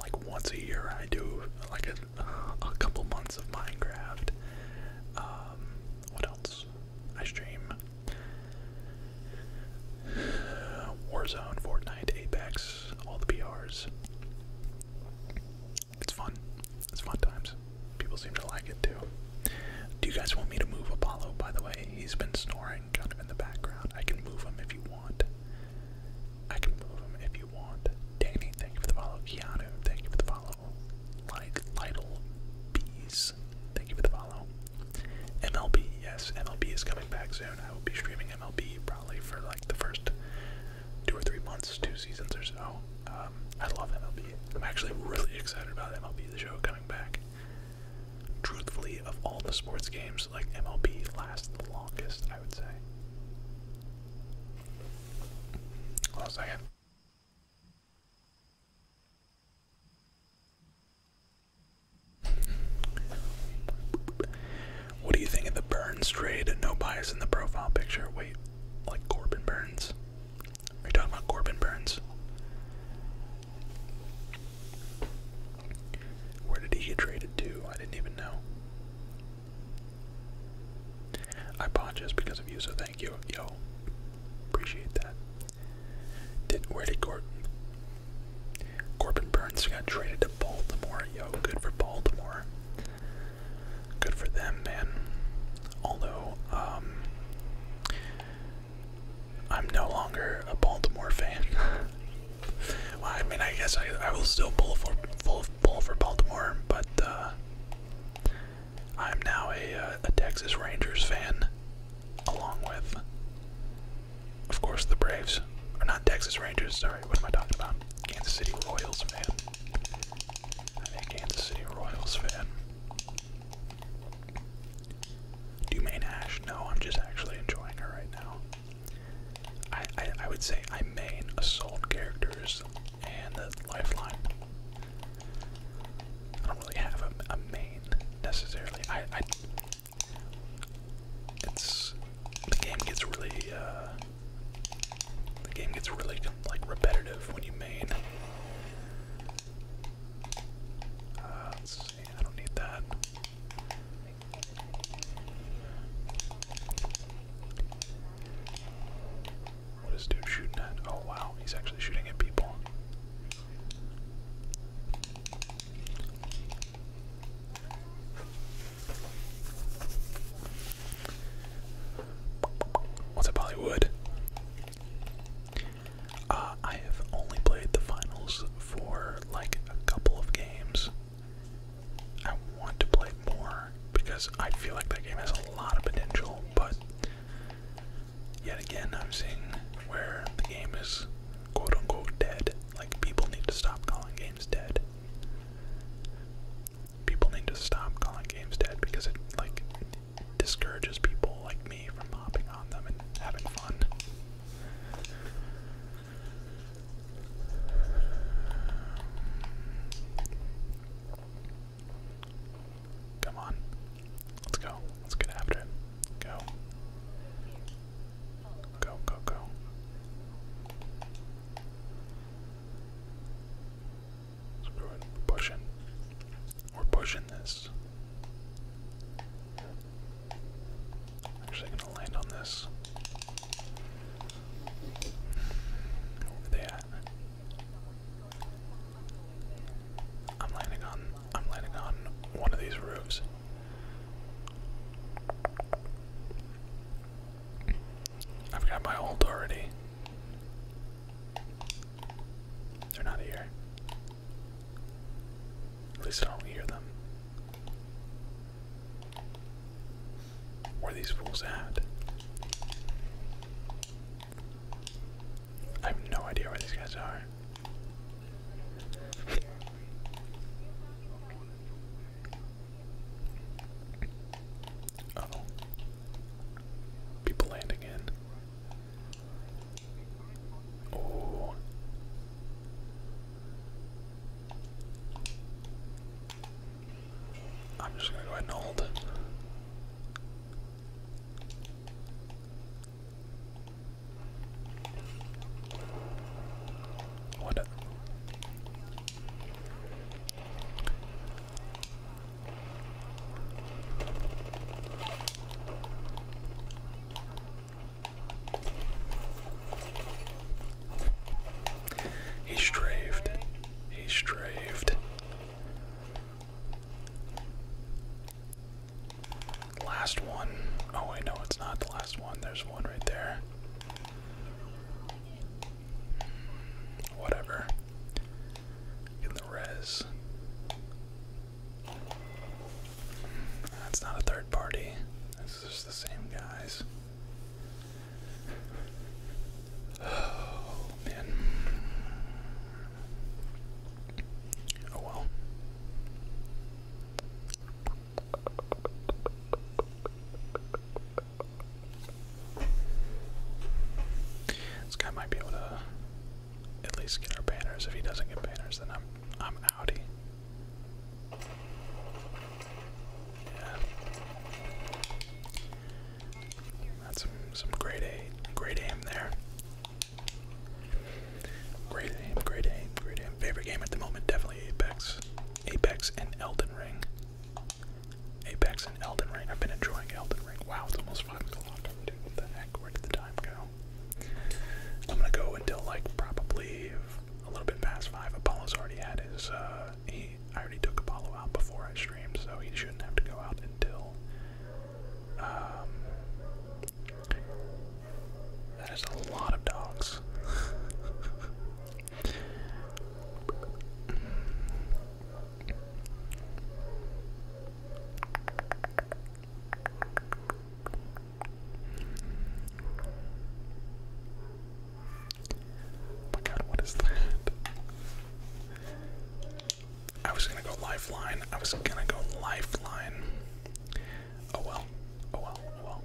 like once a year, I do like a, a couple months of Minecraft. Um, what else? I stream Warzone, Fortnite, Apex, all the PRs. It's fun. It's fun times. People seem to like it too. Do you guys want me to move Apollo, by the way? He's been snoring kind of in the background. I can move him if you want. I can move him if you want. Danny, thank you for the follow. Keanu, thank you for the follow. Like Lytle Bees, thank you for the follow. MLB, yes, MLB is coming back soon. I will be streaming MLB probably for like the first two or three months, two seasons or so. Um, I love MLB. I'm actually really excited about MLB the show coming back. Truthfully, of all the sports games, like MLB lasts the longest, I would say. Hold on a second. What do you think of the Burns trade? No bias in the profile picture. Wait, like Corbin Burns? Are you talking about Corbin Burns? Where did he get traded to? I didn't even know. I bought just because of you, so thank you. Yo, appreciate that. Did where did Corbin? Corbin Burns got traded to Baltimore. Yo, good for Baltimore good for them, man. Although, um, I'm no longer a Baltimore fan. I mean, I guess I, will still pull for pull, for Baltimore, but uh, I'm now uh, a, Texas Rangers fan, along with, of course, the Braves. Or not Texas Rangers. Sorry, what am I talking about? Kansas City Royals man. I'm a Kansas City Royals fan. Do you main Ash? No, I'm just actually enjoying her right now. I, I would say I main assault characters and the lifeline. I don't really have a, a main necessarily. I, I it's the game gets really uh, the game gets really like repetitive when you main. Uh, let's see, I don't need that. What is dude shooting at? Oh wow, he's actually shooting at people. What's up, Bollywood? Uh, I have only played the finals for like a couple of games. I want to play more because I feel like that game has a lot of potential, but yet again, I'm seeing where the game is quote unquote dead. Like, people need to stop calling games dead people need to stop calling games dead because it like discourages people like me from hopping on them and having fun. Come on. Let's go. Let's get after it. Go. Go, go, go. So We're pushing this. Actually, gonna land on this. Where they I'm landing on. I'm landing on one of these roofs. I've got my ult already. They're not here. At least I don't hear them. Where are these fools at? I have no idea where these guys are. oh. People landing in. Oh. I'm just gonna go ahead and hold. What? He strafed. He strafed. Last one. Oh wait, no, it's not the last one. There's one right there. Hmm, whatever in the res. That's not a third party. This is just the same guys. Oh man. Oh well. This guy might be able to at least get our banners. If he doesn't get banners, then I'm I'm outie. That's some some great aim, great aim there. Great aim, great aim, great aim. Favorite game at the moment, definitely Apex. Apex and Elden Ring. Apex and Elden Ring. I've been enjoying Elden Ring. Wow, the 5 o'clock. Dude, the heck? Where did the time go? I'm gonna go until like probably a little bit past 5. Apollo's already had his, uh, he, I already took Apollo out before I streamed, so he shouldn't have to go out until, um, that is a lot of dogs. Oh my god, what is that? I was gonna go lifeline. I was gonna go lifeline. Oh well. Oh well. Oh well.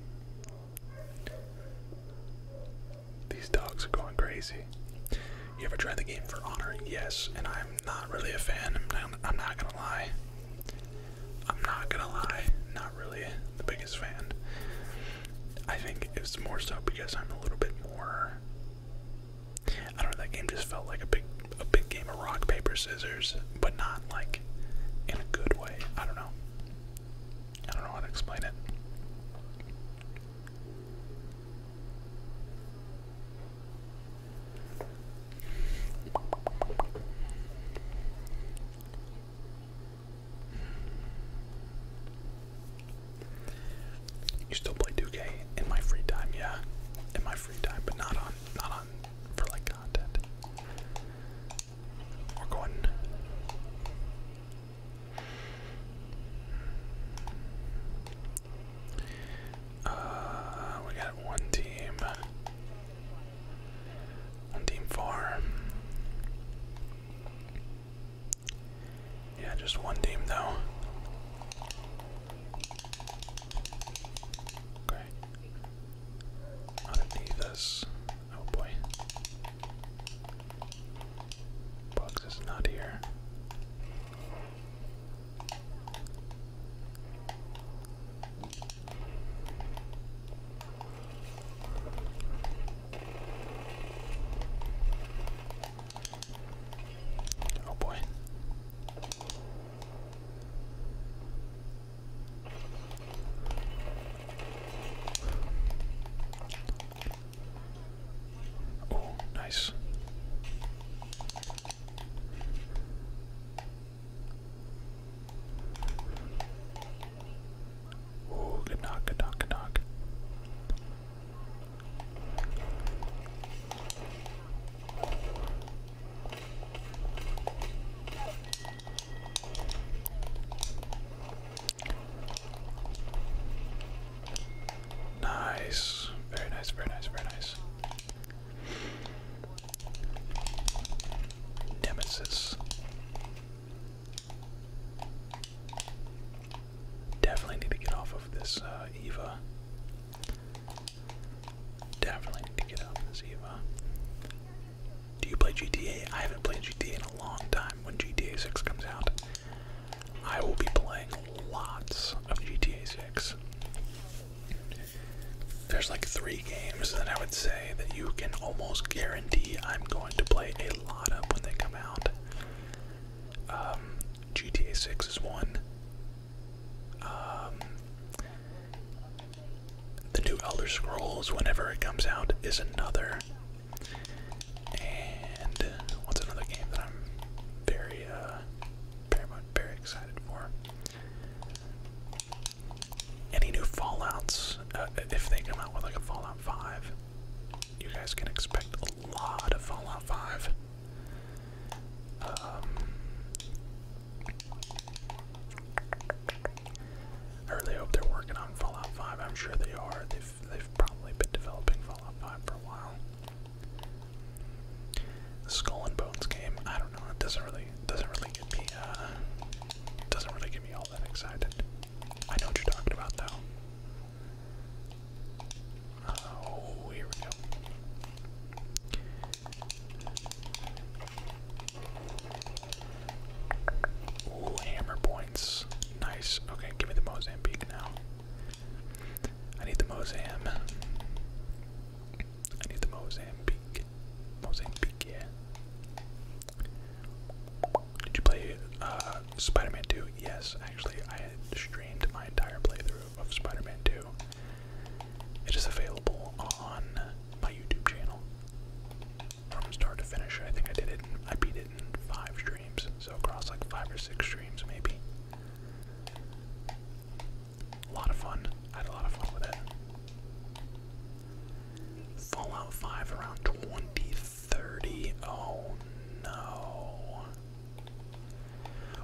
These dogs are going crazy. You ever tried the game for honor? Yes, and I'm I'm not really a fan. I'm not, I'm not gonna lie. I'm not gonna lie. Not really the biggest fan. I think it's more so because I'm a little bit more. I don't know. That game just felt like a big, a big game of rock paper scissors, but not like in a good way. I don't know. I don't know how to explain it. You still play 2K in my free time, yeah. In my free time, but not on not on for like content. We're going uh, we got one team. One team four. Yeah, just one team though. Okay. Underneath this. Oh boy. Bugs is not here. Oh boy. Oh, nice. Ooh, good knock, good knock, good knock. Nice. Very nice, very nice, very nice. Nemesis. Definitely need to get off of this uh, Eva. Definitely need to get off of this Eva. Do you play GTA? I haven't played GTA in a long time. When GTA 6 comes out, I will be playing lots of GTA 6. There's like three games that I would say that you can almost guarantee I'm going to play a lot of when they come out. Um, GTA 6 is one. Um, the new Elder Scrolls, whenever it comes out, is another. And what's another game that I'm very uh, very excited for. Any new Fallout's, uh, if they come out with like a Fallout 5, you guys can expect a lot of Fallout 5. Um, I really hope they're working on Fallout 5. I'm sure they are. They've, they've probably been developing Fallout 5 for a while. Skull and Bones game. I don't know. It doesn't really doesn't really get me uh, doesn't really get me all that excited. I know what you're talking about though. Oh, here we go. Ooh, hammer points. Nice. Okay, give me the Mozambique now. I need the Mozam. I need the Mozambique. Mozambique, yeah. Did you play uh, Spider-Man 2? Yes, actually, I had streamed my entire playthrough of Spider-Man 2. It is available on my YouTube channel. From start to finish, I think I did it. I beat it in five streams, so across like five or six streams, maybe. A lot of fun. I had a lot of fun with it. Fallout 5 around 2030. Oh no.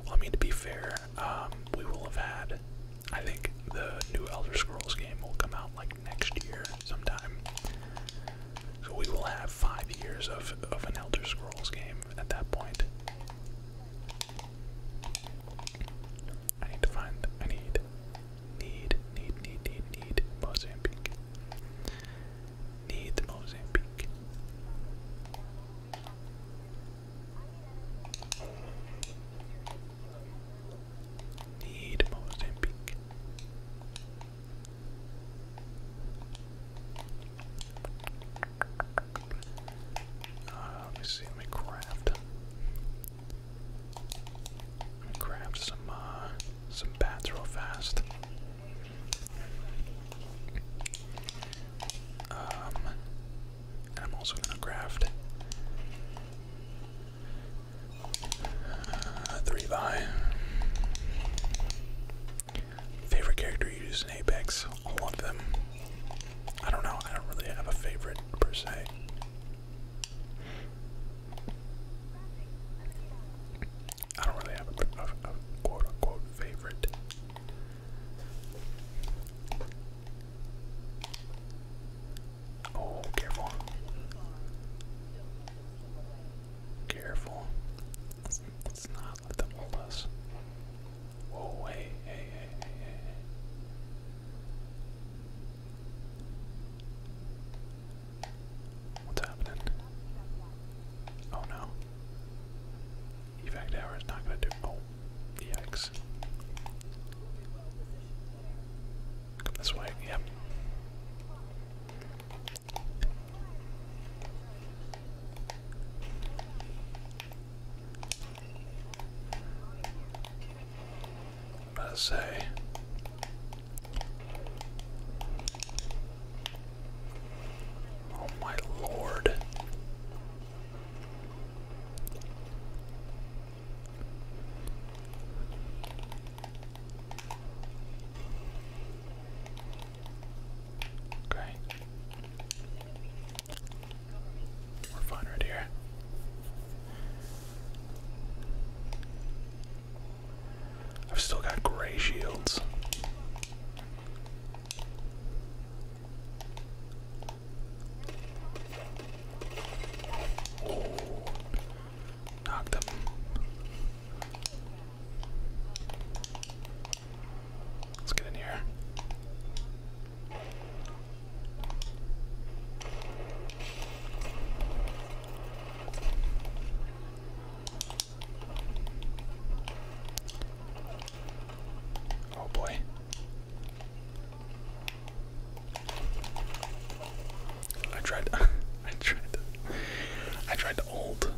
Well, I mean, to be fair, um, we will have had. I think the new Elder Scrolls game will come out like next year sometime. So we will have five years of, of an Elder Scrolls game at that point. I need to find, I need, need, need, need, need, Mozambique. Need Mozambique. Need Mozambique. Uh, let me see, let me craft. Let me craft some, uh, some bats real fast. Um, I'm also gonna craft uh, three by favorite character you use in Apex. All of them. I don't know. I don't really have a favorite per se. I don't really have a, quote unquote favorite. Oh, careful. Careful. let's not let them hold us. Whoa, hey, hey, hey, hey, hey, What's happening? Oh no. Evac tower is not gonna do. Oh, yikes. Come this way, yep. I'm say. Oh my lord. Okay. We're fine right here. I've still got gray shields. Oh, knock them. Let's get in here. Oh boy. I tried I tried I tried to old.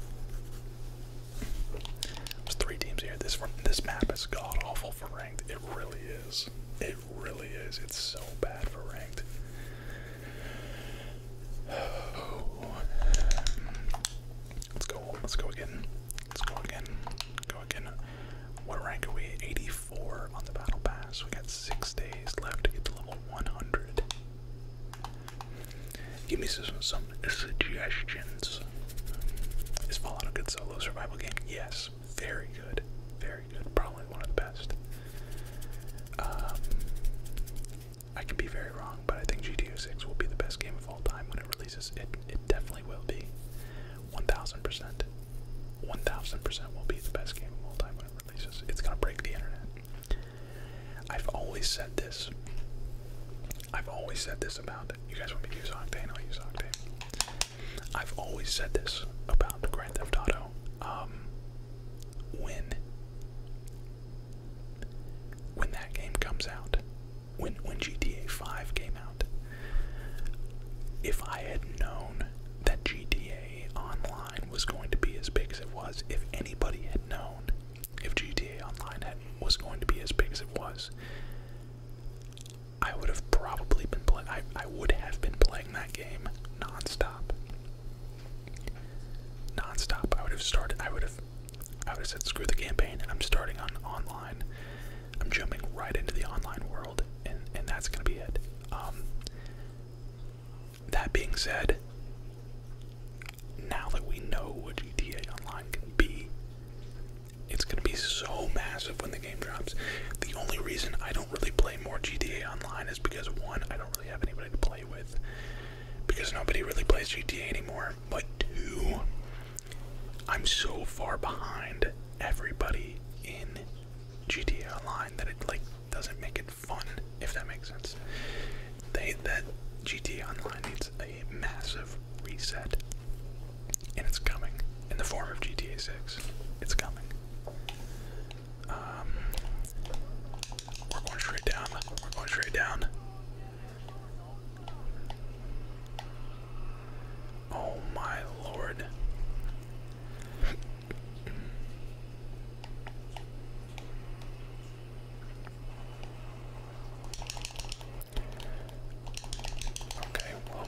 There's three teams here. This this map is god awful for it really is. It really is. It's so bad for ranked. Let's go. Let's go again. Let's go again. Go again. What rank are we? 84 on the battle pass. We got six days left to get to level 100. Give me some some suggestions. Is Fallout a good solo survival survival Yes, very good, very good. Probably one of the best. Um, I can be very wrong, but I think GTA 6 will be the best game of all time when it releases. It it definitely will be. One thousand percent. One thousand percent will be the best game of all time when it releases. It's gonna break the internet. I've always said this. I've always said this about it. You guys want me to use Octane? I'll use Octane. I've always said this about Grand Theft Auto. Um, when when that game comes out, when when GTA 5 came out, if I had known that GTA Online was going to be as big as it was, if anybody had known, if GTA Online was going to be as big as it was, I would have probably been playing. I would have been playing that game nonstop. Nonstop. I would have started. I would have. I would have said, "Screw the campaign." I'm starting on online. I'm jumping right into the online world, and and that's gonna be it. Um, that being said, now that we know what GTA Online can be, it's gonna be so massive when the game drops. The only reason I don't really play more GTA Online is because one, I don't really have anybody to play with because nobody really plays GTA anymore. But two, I'm so far behind everybody in GTA Online that it like doesn't make it fun, if that makes sense. They that GTA Online needs a massive reset. And it's coming in the form of GTA 6. It's coming. Um, we're going straight down. We're going straight down. Oh my lord. Okay, well,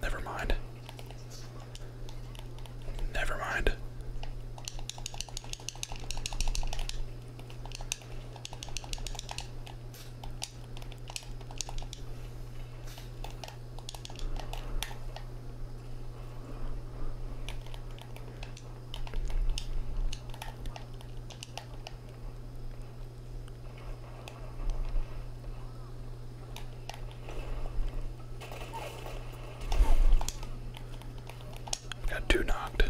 Never mind. Never mind. Got two knocked.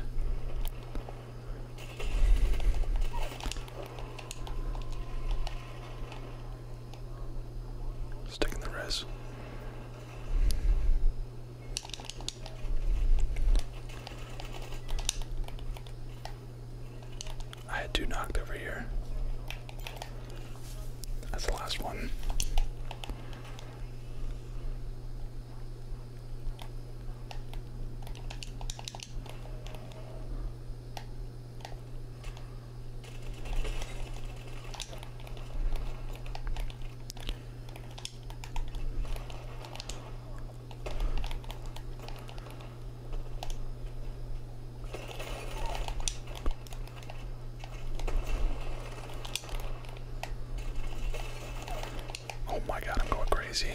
Sticking the res. I had two knocked over here. That's the last one. Oh my god, I'm going crazy.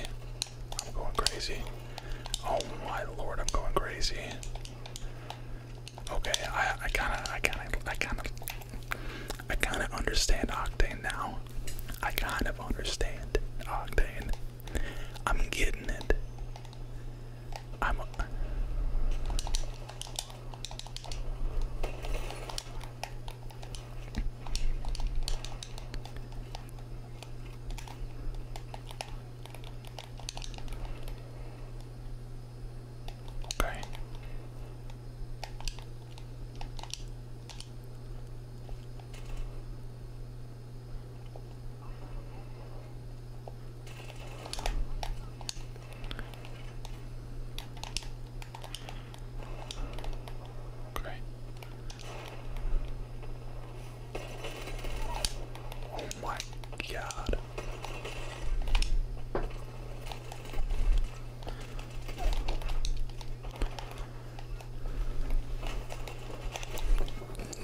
I'm going crazy. Oh my lord, I'm going crazy. Okay, I kinda I kinda I kinda I kinda understand Octane now. I kind of understand Octane. I'm getting it. I'm. Okay. Great. Oh my God.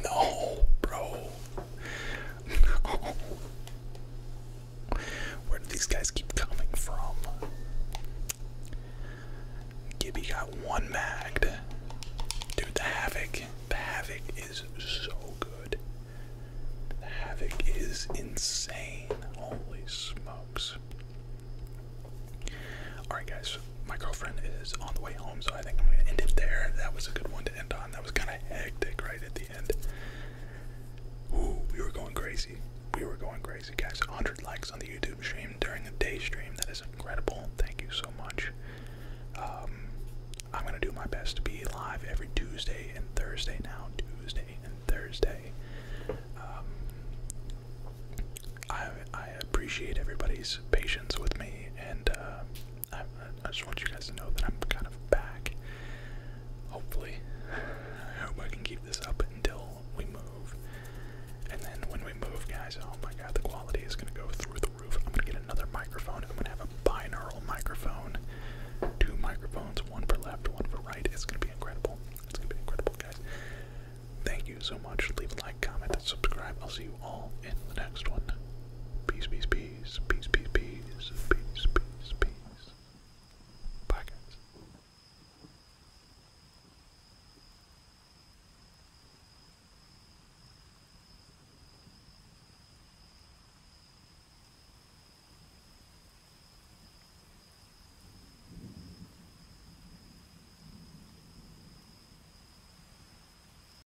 No, bro. Where do these guys keep coming from? Gibby got one magged. Dude, the Havoc. The Havoc is so good. The Havoc is insane. Holy smokes. Alright, guys. My girlfriend is on the way home, so I think I'm going to end it there. That was a good one end on. That was kind of hectic right at the end. we were going crazy. We were going crazy, guys. 100 likes on the YouTube stream during the day stream. That is incredible. Thank you so much. Um, I'm going to do my best to be live every Tuesday and Thursday now. Tuesday and Thursday. Um, I, I appreciate everybody's patience with me and uh, I, just want you guys to know that I'm kind of back. Hopefully, I hope I can keep this up until we move. And then when we move, guys, oh my god, the quality is gonna go through the roof. I'm gonna get another microphone. I'm gonna have a binaural microphone, two microphones, one for left, one for right. It's gonna be incredible. It's gonna be incredible, guys. Thank you so much. Leave a like, comment, and subscribe. I'll see you all in the next one. Peace, peace, peace, peace, peace, peace, peace, peace, peace. Bye, guys.